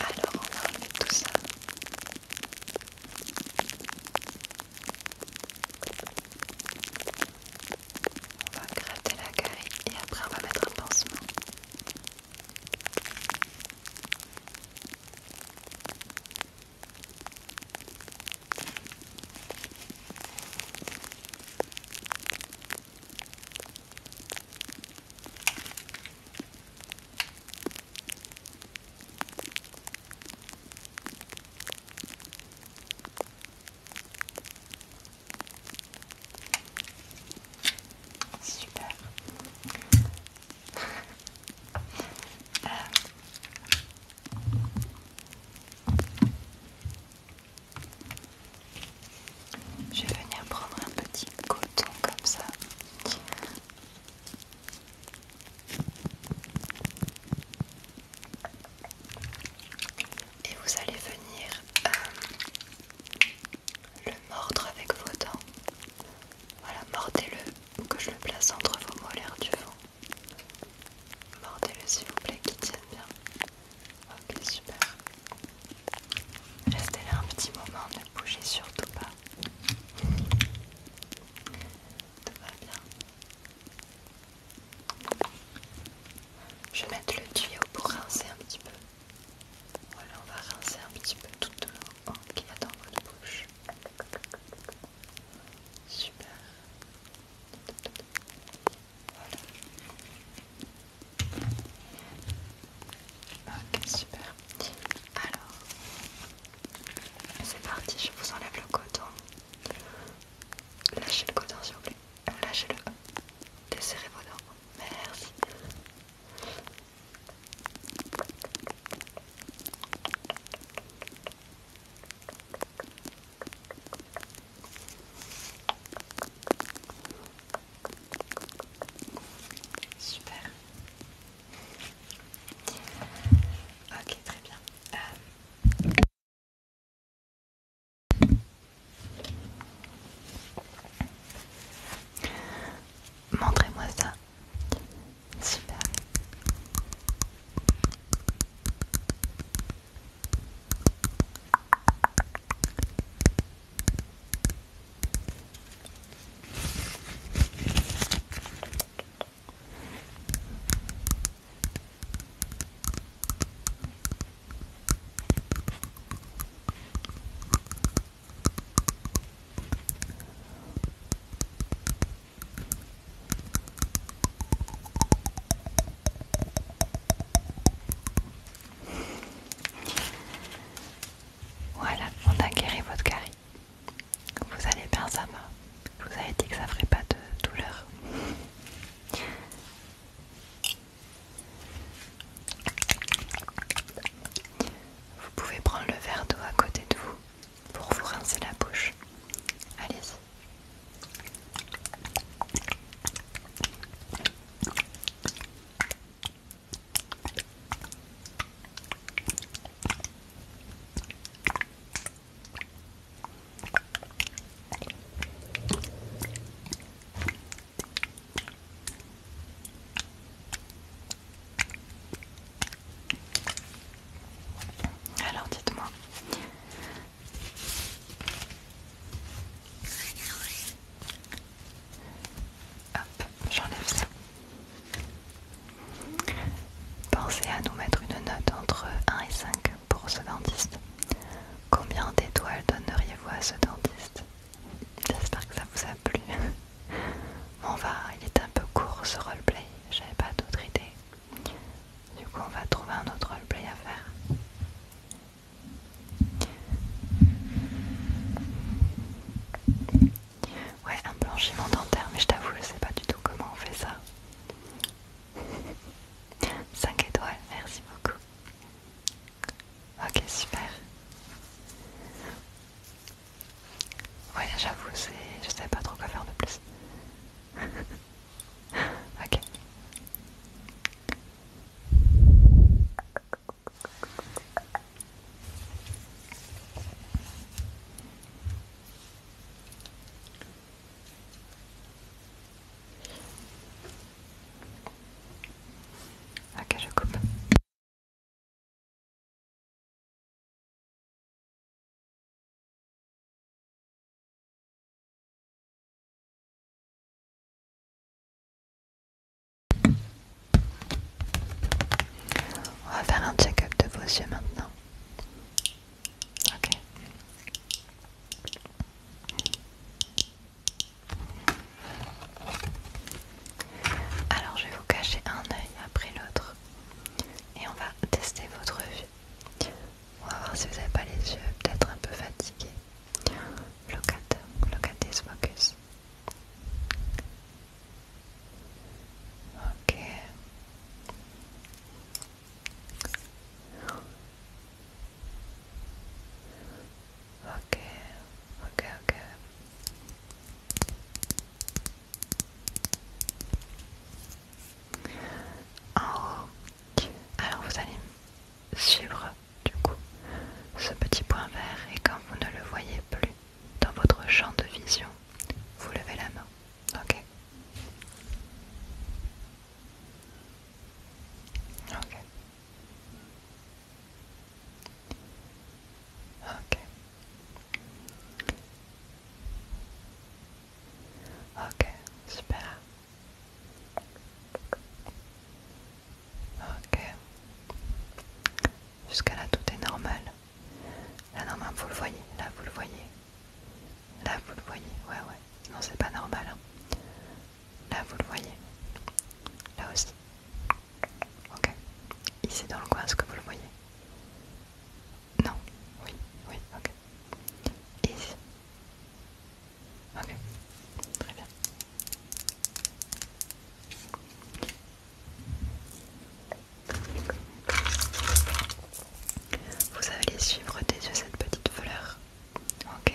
Alors on va remettre tout ça. On va gratter la carie et après on va mettre un pansement. Euh, je vais venir prendre un petit coton comme ça et vous allez venir euh, le mordre avec vos dents. Voilà, mordez-le que je le place entre vos molaires du vent. Mordez-le s'il vous plaît, qu'il tienne bien. Ok, super. Restez là un petit moment, ne bougez surtout pas. Tout va bien. Je vais mettre le tuyau pour rincer un petit peu. Voilà, on va rincer un petit peu toute qu'il y a dans votre bouche. Super. Voilà. Ok, super. Alors, c'est parti, je vous enlève le coton. Lâchez le coton s'il vous plaît. Lâchez-le. Desserrez vos dents. Merci. Super. Ok, très bien. Euh, Montrez-moi ça. Super. Voilà, on a guéri votre carie. Vous allez bien, ça va. Je vous avais dit que ça ferait pas de douleur. Vous pouvez prendre le verre d'eau à côté de vous pour vous rincer la bouche. allez alors dites-moi. Hop, j'enlève ça. Pensez à nous mettre une note entre 1 et 5 pour ce dentiste. Combien d'étoiles donneriez-vous à ce dentiste J'espère que ça vous a plu. On va, bah, il est un peu court ce roleplay, j'avais pas d'autre idée. Du coup, on va trouver un autre roleplay à faire. Ouais, un blanchiment dentaire, mais je t'avoue, je sais pas du tout comment on fait ça. 5 étoiles, merci beaucoup. Ok, super. Ouais, j'avoue, c'est... je sais pas trop quoi faire de plus. ok. Ok, je coupe. On va faire un check-up de vos yeux maintenant. Ok. Alors je vais vous cacher un œil après l'autre et on va tester votre vue. On va voir si vous n'avez pas les yeux peut-être un peu fatigués. focus. Ok. Ok, ok, ok. En haut, alors vous allez suivre du coup ce petit point vert et quand vous ne le voyez plus dans votre champ de vision, vous levez la main. Ok. Ok. Ok. Ok, super. Ok. Jusqu'à là, tout est normal. Là, normalement, vous le voyez. Là, vous le voyez. Là, vous le voyez. Ouais, ouais. Non, c'est pas normal. Hein. Là, vous le voyez. Là aussi. Ok. Ici dans le coin, est-ce que vous le voyez Non. Oui. Oui. Ok. ici. Ok. Très bien. Vous allez suivre des yeux cette petite fleur. Ok.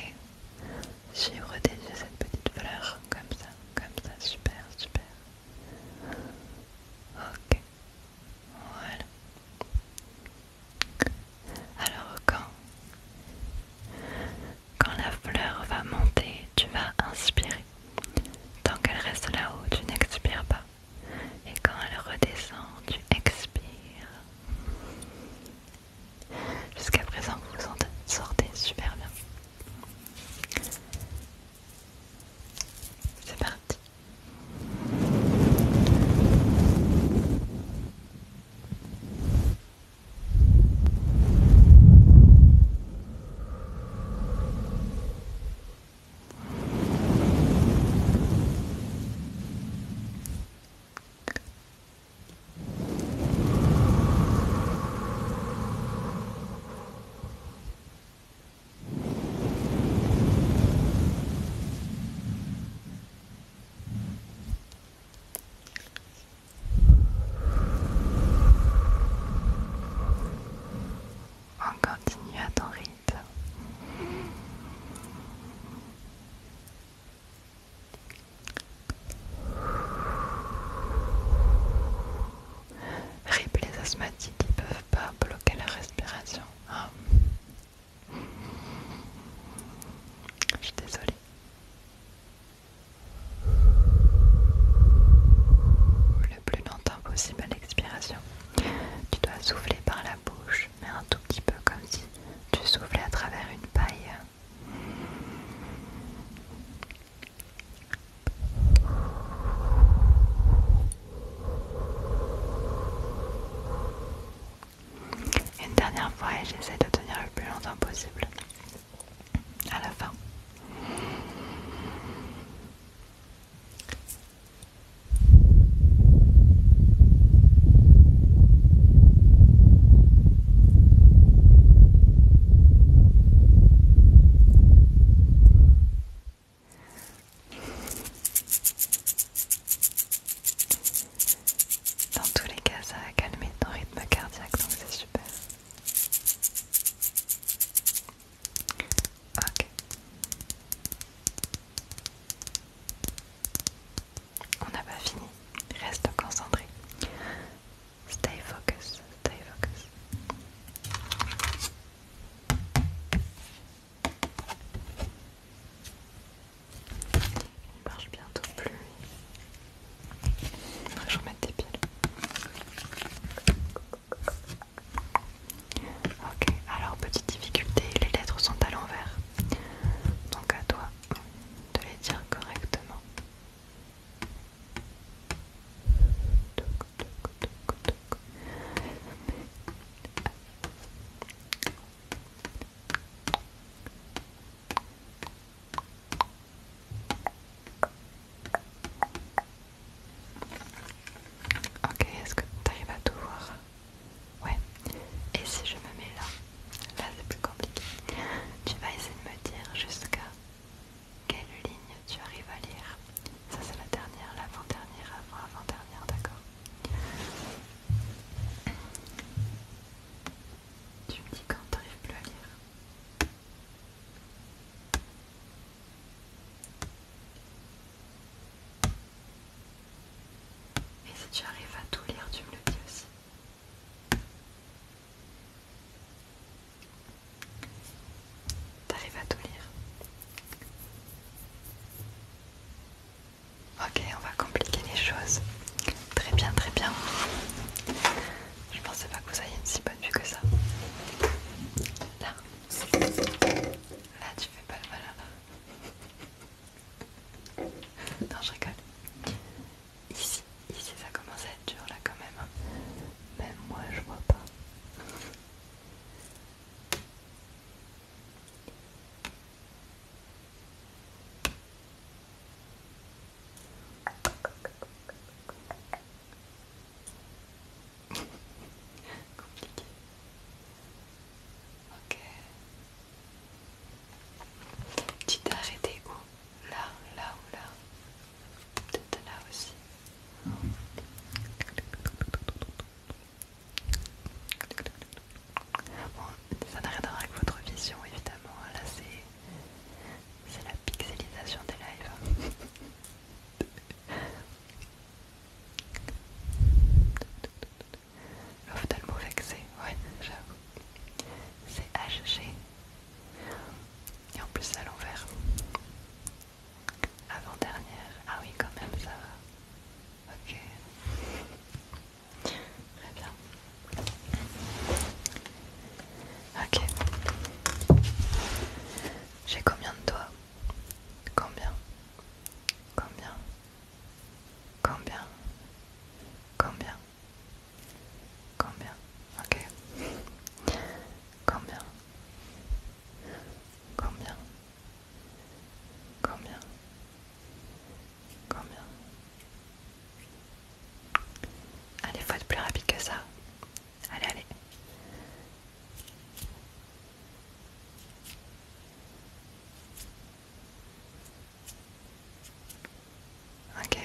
J'ai protégé cette petite fleur comme ça, comme ça, super, super. Ok, voilà. Alors quand, quand la fleur va monter, tu vas inspirer. Tant qu'elle reste là-haut, tu n'expires pas. Et quand elle redescend, tu expires. Jusqu'à présent, vous vous sortez super bien. C'est parti. On continue à ton rythme. Rip les asthmatiques, ils peuvent pas bloquer la respiration. Hein. Je suis désolée. Le plus longtemps possible à l'expiration. Tu dois souffler par la bouche, mais un tout petit peu comme si tu soufflais à travers une paille. Une dernière fois et j'essaie de tenir le plus longtemps possible. À la fin. Dans tous les cas, ça a calmé ton rythme cardiaque, donc c'est super. Ok. On n'a pas fini. Reste concentré. Stay focus, stay focus. Il marche bientôt plus. Je vais je des piles. Ok, alors petite difficulté, les lettres sont à l'envers. Donc à toi de les dire correctement. Ok, est-ce que tu arrives à tout voir Ouais. Et si je me mets là Là c'est plus compliqué. Tu vas essayer de me dire jusqu'à quelle ligne tu arrives à lire. Ça c'est la dernière, l'avant-dernière, avant-avant-dernière, d'accord Tu me dis quand tu n'arrives plus à lire. Et si tu arrives à tout lire, tu me le dis aussi. T'arrives à tout lire Ok, on va compliquer les choses. Très bien, très bien. Je pensais pas que vous ayez une si bonne vue que ça. Là, là tu fais pas le malin Non, je rigole ici, ici ça commence à être dur là quand même. Hein. Même moi je vois pas. Compliqué. Ok. Tu t'es arrêté où là, là ou là. Peut-être là aussi. Bon, ça n'a rien à voir avec votre vision évidemment. Là c'est C'est la pixelisation des lives. mot vexé, ouais, j'avoue. C'est HG et en plus à l'envers. Avant-dernière. Ah oui, quand même, ça va. Ok. Très bien. Ok. J'ai combien de doigts Combien Combien Combien Combien Combien Ok. Combien Combien Combien Combien Allez, faut être plus rapide que ça. Allez, allez ok.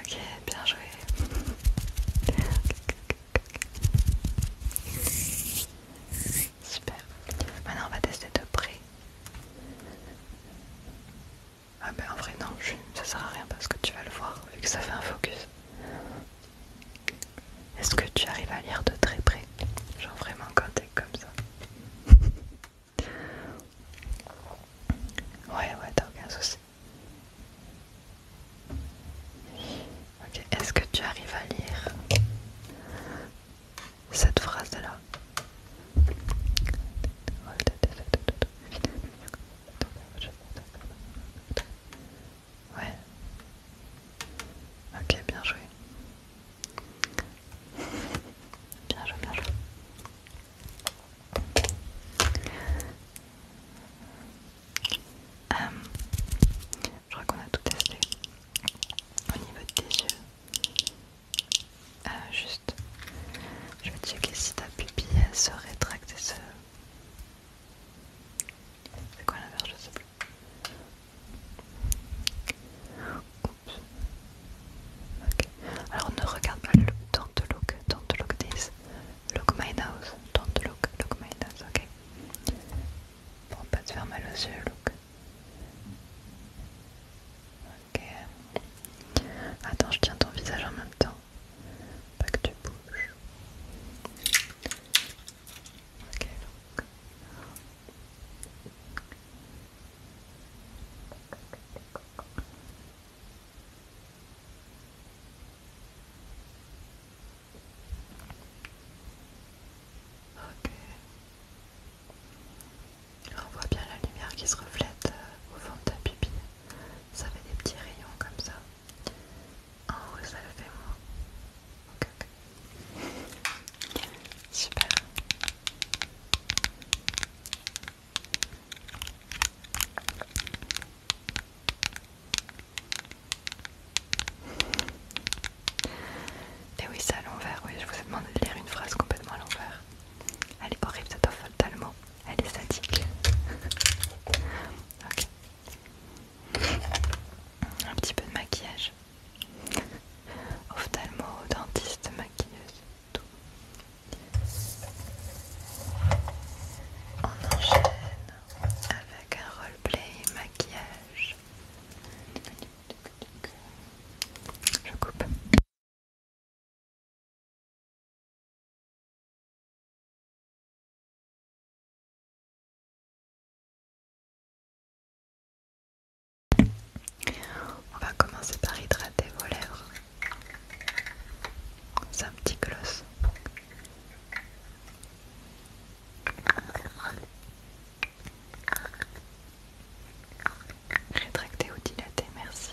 Ok, bien joué. Super. Maintenant, on va tester de près. Ah ben en vrai non, ça sert à rien parce que tu vas le voir vu que ça fait un focus. Est-ce que tu arrives à lire de très près Genre vraiment quand t'es comme ça. Ouais ouais t'as aucun souci. Ok, est-ce que tu arrives à lire cette phrase là Ouais. Ok, bien joué. Bien joué, bien joué. Euh, je crois qu'on a tout testé au niveau de tes yeux. Euh, juste, je vais checker si ta pupille se rétracte et se c'est quoi l'inverse Je sais plus. Oups. Alors ne regarde pas le look. Don't look. Don't look this. Look my nose. Don't look. Look my nose. Ok. Pour pas te faire mal aux yeux, look. Ok. Attends, je tiens ton visage en même temps. Pas de On voit bien la lumière qui se reflète euh, au fond de ta pupille ça fait des petits rayons comme ça. En haut, ça le fait moins. ok, Super. Et eh oui, c'est à l'envers, oui, je vous ai demandé de lire une phrase complètement à l'envers. Elle est horrible cette offre tellement. Elle est statique. ok. Un petit peu de maquillage. Ophtalmo, dentiste, maquilleuse, tout. On enchaîne avec un roleplay maquillage. Je coupe. On va commencer par hydrater vos lèvres. C'est un petit gloss. Rétracter ou dilater, merci.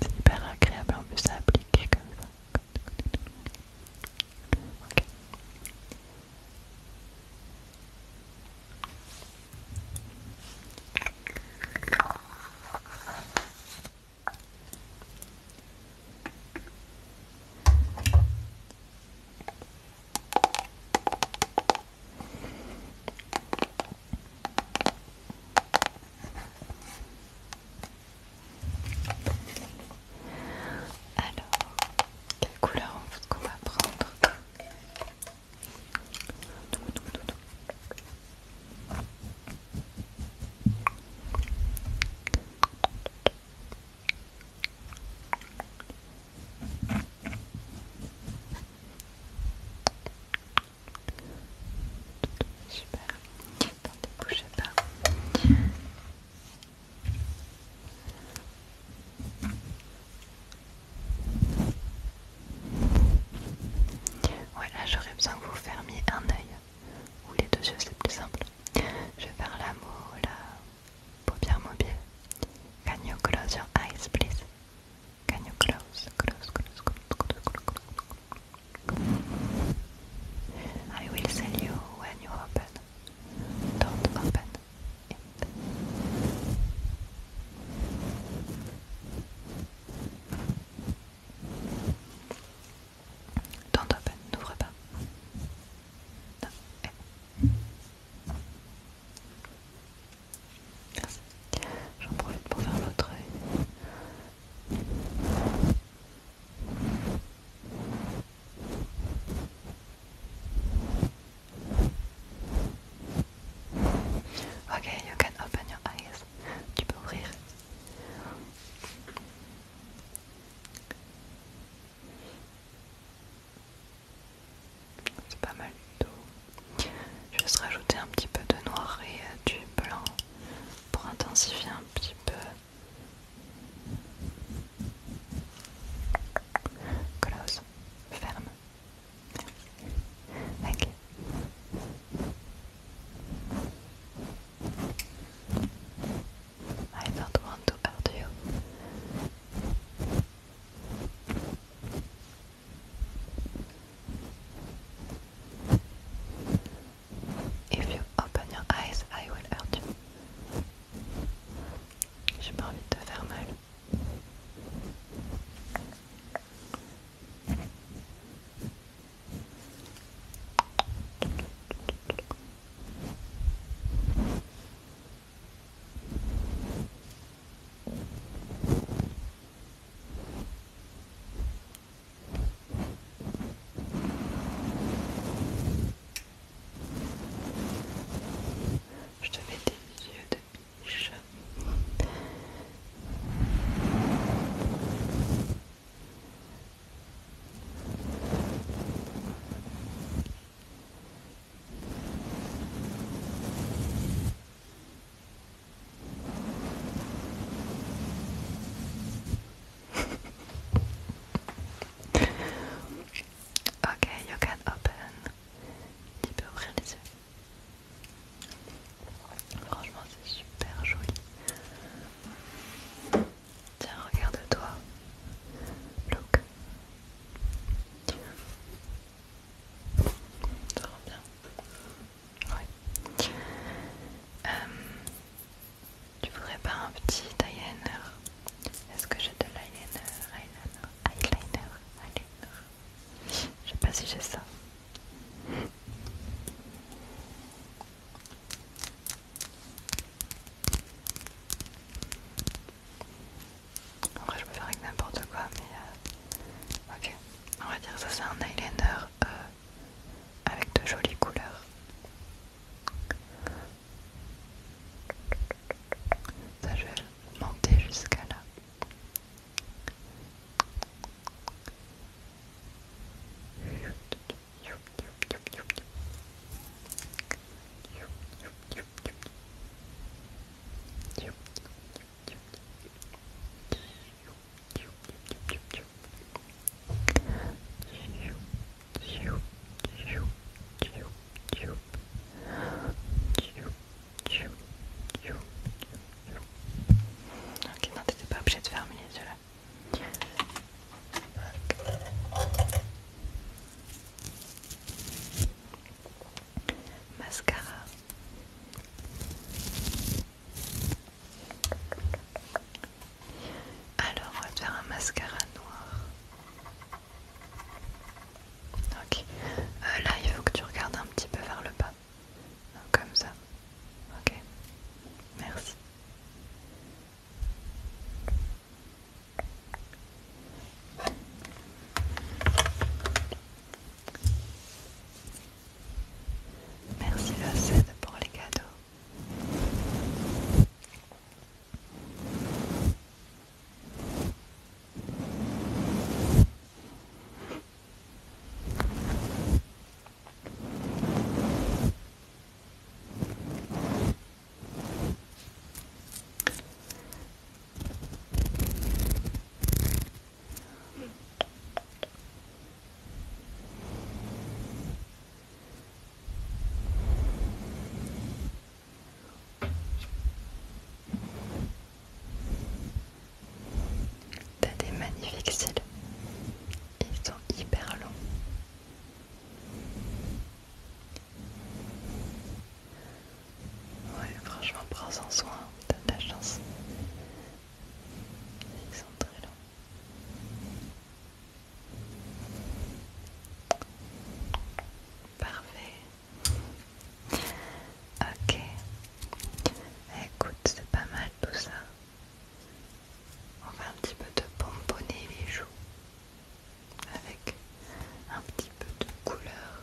C'est hyper agréable en plus à appliquer comme ça. Alors, quelle couleur on qu'on va prendre Super. Attendez, bougez pas. Voilà, j'aurais besoin que vous fermiez un œil ou les deux yeux, c'est plus simple. Je vais faire la là. Paupières mobile, Can you close your eyes, please? Can you close, close, close, close, I will tell you when you open. Don't open it. Don't open, n'ouvre pas. Eh. Merci. J'en profite pour faire l'autre œil. Ok, you can open your eyes. Tu peux ouvrir. C'est pas mal du tout. Je vais juste rajouter un petit peu de noir et euh, du blanc pour intensifier un petit peu. Close, ferme. I don't want to If you open your eyes, I will hurt you. J'ai pas envie de te faire mal. Je te mets des yeux de biche. Ok, you can open. Tu peux ouvrir les yeux. Franchement, c'est super joli. Tiens, regarde-toi. Look bien Ouais. Euh, tu voudrais pas un petit eyeliner Est-ce que j'ai de l'eyeliner Eyeliner Eyeliner Eyeliner Je sais pas si j'ai ça. En vrai, je peux faire avec n'importe quoi, mais euh, ok. On va dire ça, c'est un eyeliner euh, avec de jolies couleurs. Ça, je vais monter jusqu'à là. Ok, non, t'étais pas obligé de fermer les yeux mascara alors on va te faire un mascara noir ok euh, là il faut que tu regardes un petit peu vers le bas comme ça ok merci Merci scène pour les cadeaux. T'as des magnifiques cils, ils sont hyper longs. Ouais, franchement, prends-en soin, t'as de chance. Ils sont très longs. Parfait. Ok. Écoute, c'est pas mal tout ça. On va un petit peu de pomponner les joues avec un petit peu de couleur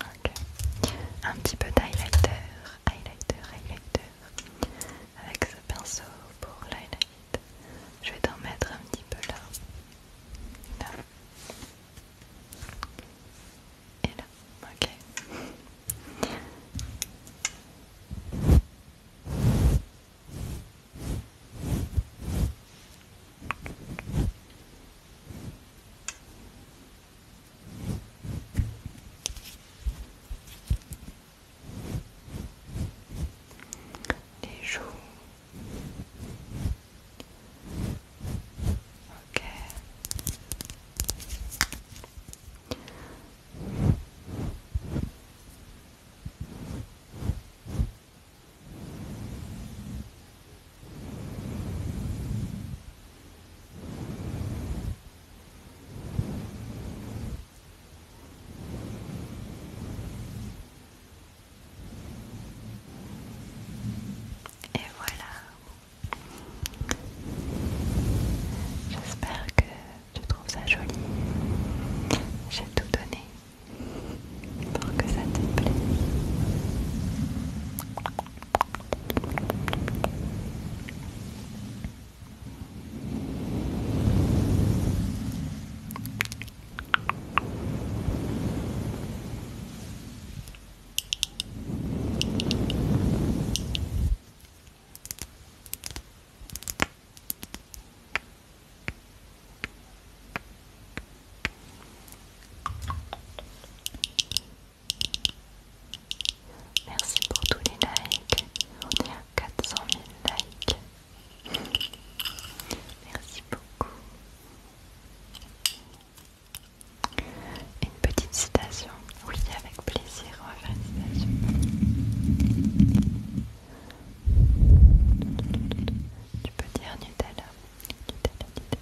Ok. Un petit peu d'highlighter, highlighter, highlighter. Avec ce pinceau pour l'highlight. Je vais t'en mettre un petit peu là. Là. Et là. Ok, les joues. Et voilà. J'espère que tu trouves ça joli. J'ai tout donné pour que ça te plaise. Merci pour tous les likes. On est à 400 000 likes. Merci beaucoup. Une petite citation. Oui, avec plaisir, on va faire une citation. Tu peux dire Nutella. Nutella,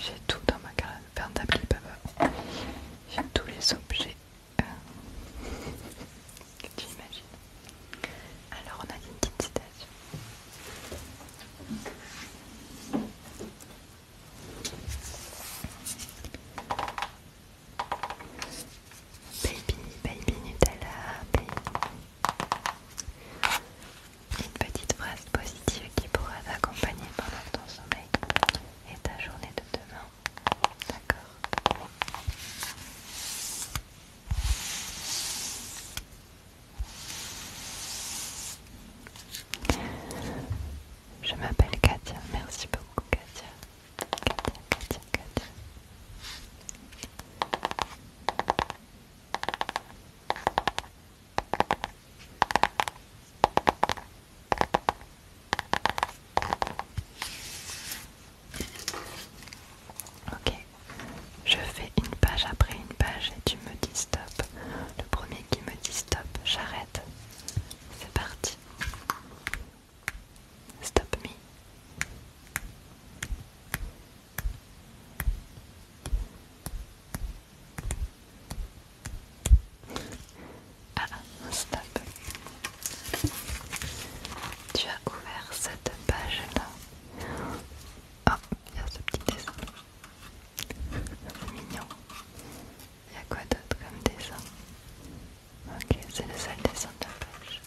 j'ai tout dans ma carte papa. J'ai tous les objets euh, que tu imagines. Alors on a une petite citation. Baby, baby Nutella, baby. Une petite phrase positive qui pourra t'accompagner pendant ton sommeil et ta journée de demain. D'accord Je m'appelle Katia, merci beaucoup Katia Ok, je fais une page après une page et tu me dis stop. Le premier qui me dit stop, j'arrête. C'est parti. Stop me. Ah, stop. Tu as ouvert cette page-là. Oh, il y a ce petit dessin. Mignon. Il y a quoi d'autre comme dessin Ok, c'est le seul dessin de la page.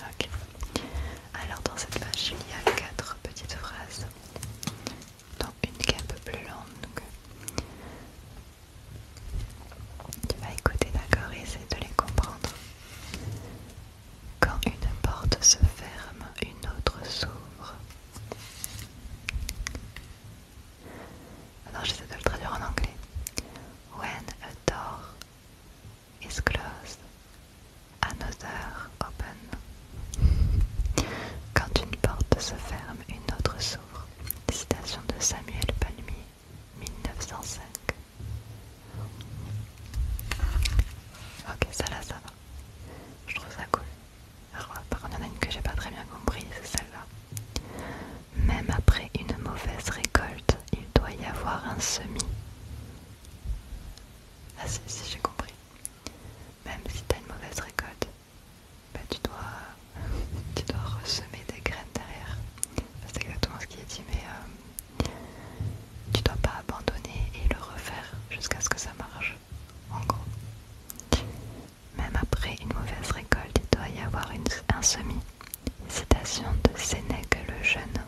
Ok. Alors dans cette page, il y a quatre petites phrases. Donc une qui est un peu plus longue. Tu euh, vas écouter d'accord et essayer de les comprendre. Quand une porte se ferme, une autre s'ouvre. Alors j'essaie de le traduire en anglais. When a door is closed, another open. Quand une porte se ferme, une autre s'ouvre. Citation de Samuel Palmier, 1905. Ok, ça là, ça va. Je trouve ça cool. Alors, par contre, il y en a une que j'ai pas très bien compris, c'est celle-là. Même après une mauvaise récolte, il doit y avoir un semis. Ah, si, si, j'ai compris. Même si t'as une mauvaise récolte, bah, tu dois, tu dois ressemer des graines derrière. C'est exactement ce qui est dit, mais euh, tu dois pas abandonner et le refaire jusqu'à ce que ça marche, en gros. Même après une mauvaise récolte, il doit y avoir une, un semis. Citation de Sénèque le Jeune,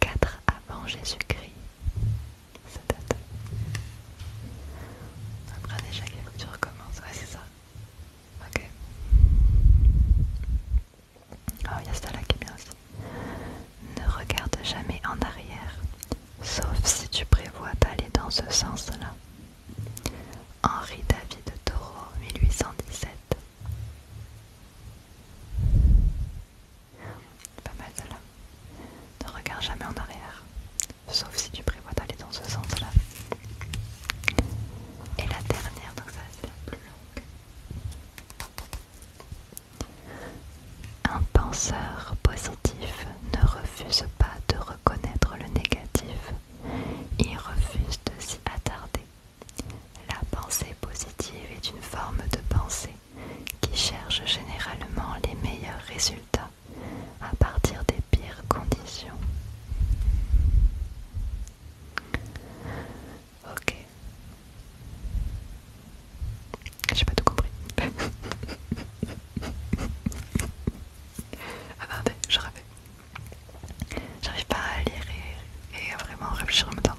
4 avant Jésus-Christ. Ça date. Après, déjà, tu recommences. Ouais, c'est ça. Ok. Oh, il y a celle-là qui est aussi. Ne regarde jamais en arrière, sauf si tu prévois d'aller dans ce sens-là. Henri David Thoreau, 1817. Pas mal de là Ne regarde jamais en arrière, sauf si tu prévois d'aller dans ce sens-là. Et la dernière, donc ça être la plus longue. Un penseur positif ne refuse pas de reconnaître le négatif, il refuse de s'y attarder. La pensée positive est une forme de pensée qui cherche généralement les meilleurs résultats à partir des pires conditions. Ok. J'ai pas tout compris. Ah Attendez, je rêvais. J'arrive pas à lire et, à vraiment réfléchir en même temps.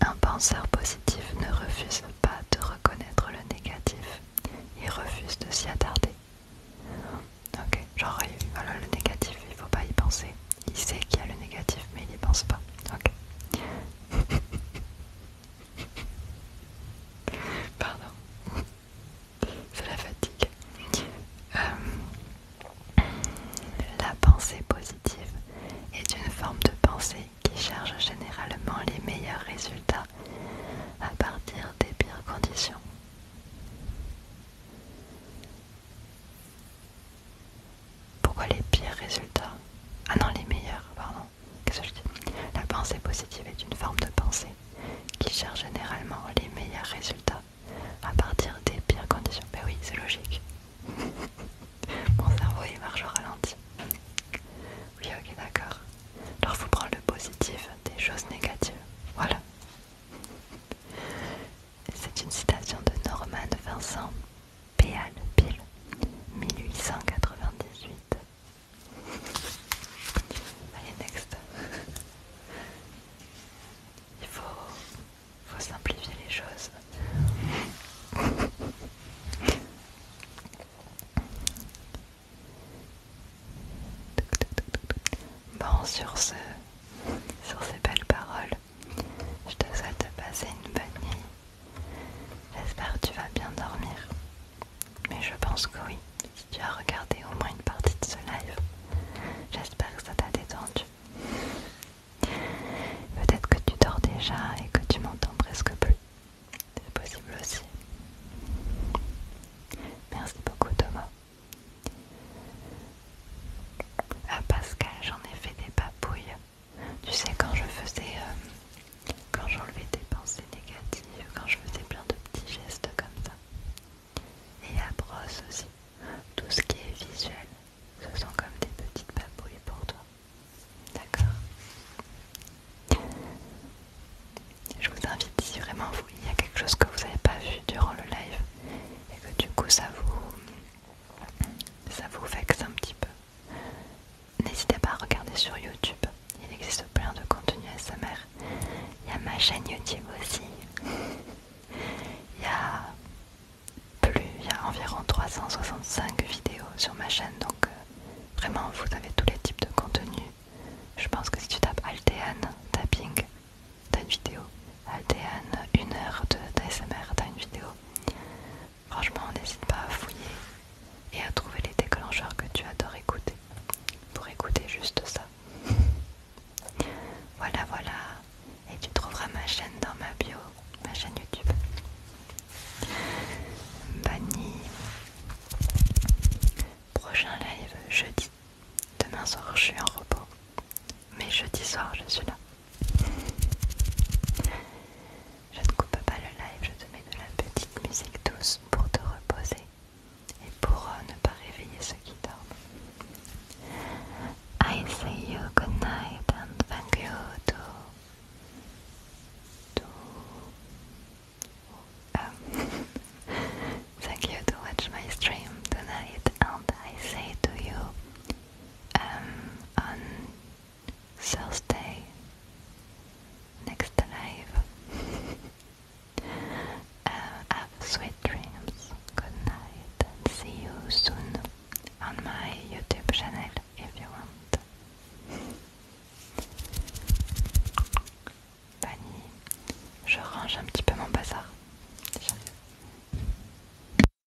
Un penseur positif ne refuse pas de reconnaître le négatif. Il refuse de s'y attarder. Ok, genre le négatif, il faut pas y penser. Il sait qu'il y a le négatif, mais il n'y pense pas. Ok. Pardon. C'est la fatigue. Euh, la pensée positive est une forme de pensée qui cherche généralement les meilleurs résultats à partir des pires conditions. Pourquoi les pires résultats Ah non, les meilleurs, pardon. Qu'est-ce que je dis La pensée positive est une forme de pensée qui cherche généralement les meilleurs résultats à partir des pires conditions. Mais ben oui, c'est logique. Mon cerveau il marche au ralenti. Oui, ok, d'accord. Alors faut prendre le positif des choses négatives. Voilà. C'est une citation de Norman Vincent Péal Pile 1898. Allez, next. Il faut, faut simplifier les choses. Bon, sur, ce, sur ces belles paroles, je te souhaite de passer une bonne nuit. J'espère que tu vas bien dormir. Mais je pense que oui, si tu as regardé au moins une partie de ce live. J'espère que ça t'a détendu. Peut-être que tu dors déjà et que tu m'entends presque plus. C'est possible aussi. Merci beaucoup Thomas. Ah Pascal, j'en ai fait des papouilles. Tu sais, quand je faisais. Euh, quand j'enlevais des pensées négatives, quand je faisais plein de petits gestes comme ça. Et à brosse aussi. Tout ce qui est visuel, ce sont comme des petites papouilles pour toi. D'accord Je vous invite, si vraiment il y a quelque chose que vous n'avez pas vu durant le live et que du coup ça vous. ça vous vexe un petit peu. N'hésitez pas à regarder sur YouTube, il existe plein de contenu ASMR. Il y a ma chaîne YouTube aussi. il y a plus, il y a environ 365 vidéos sur ma chaîne, donc euh, vraiment vous avez tous les types de contenus, Je pense que si tu tapes Altean tapping, t'as une vidéo. Aldean une heure d'ASMR, t'as une vidéo. Franchement, n'hésite pas à fouiller et à trouver les déclencheurs que tu adores écouter pour écouter juste ça. voilà, voilà. Et tu trouveras ma chaîne dans ma bio, ma chaîne YouTube. Banni. Prochain live jeudi. Demain soir, je suis en repos. Mais jeudi soir, je suis là. Je ne coupe pas le live, je te mets de la petite musique douce pour te reposer et pour euh, ne pas réveiller ceux qui dorment. I say you good night and thank you to, to um, thank you to watch my stream tonight and I say to you um, on Thursday next live. Uh, have sweet dreams. Good night see you soon on my YouTube channel if you want. Fanny, je range un petit peu mon bazar.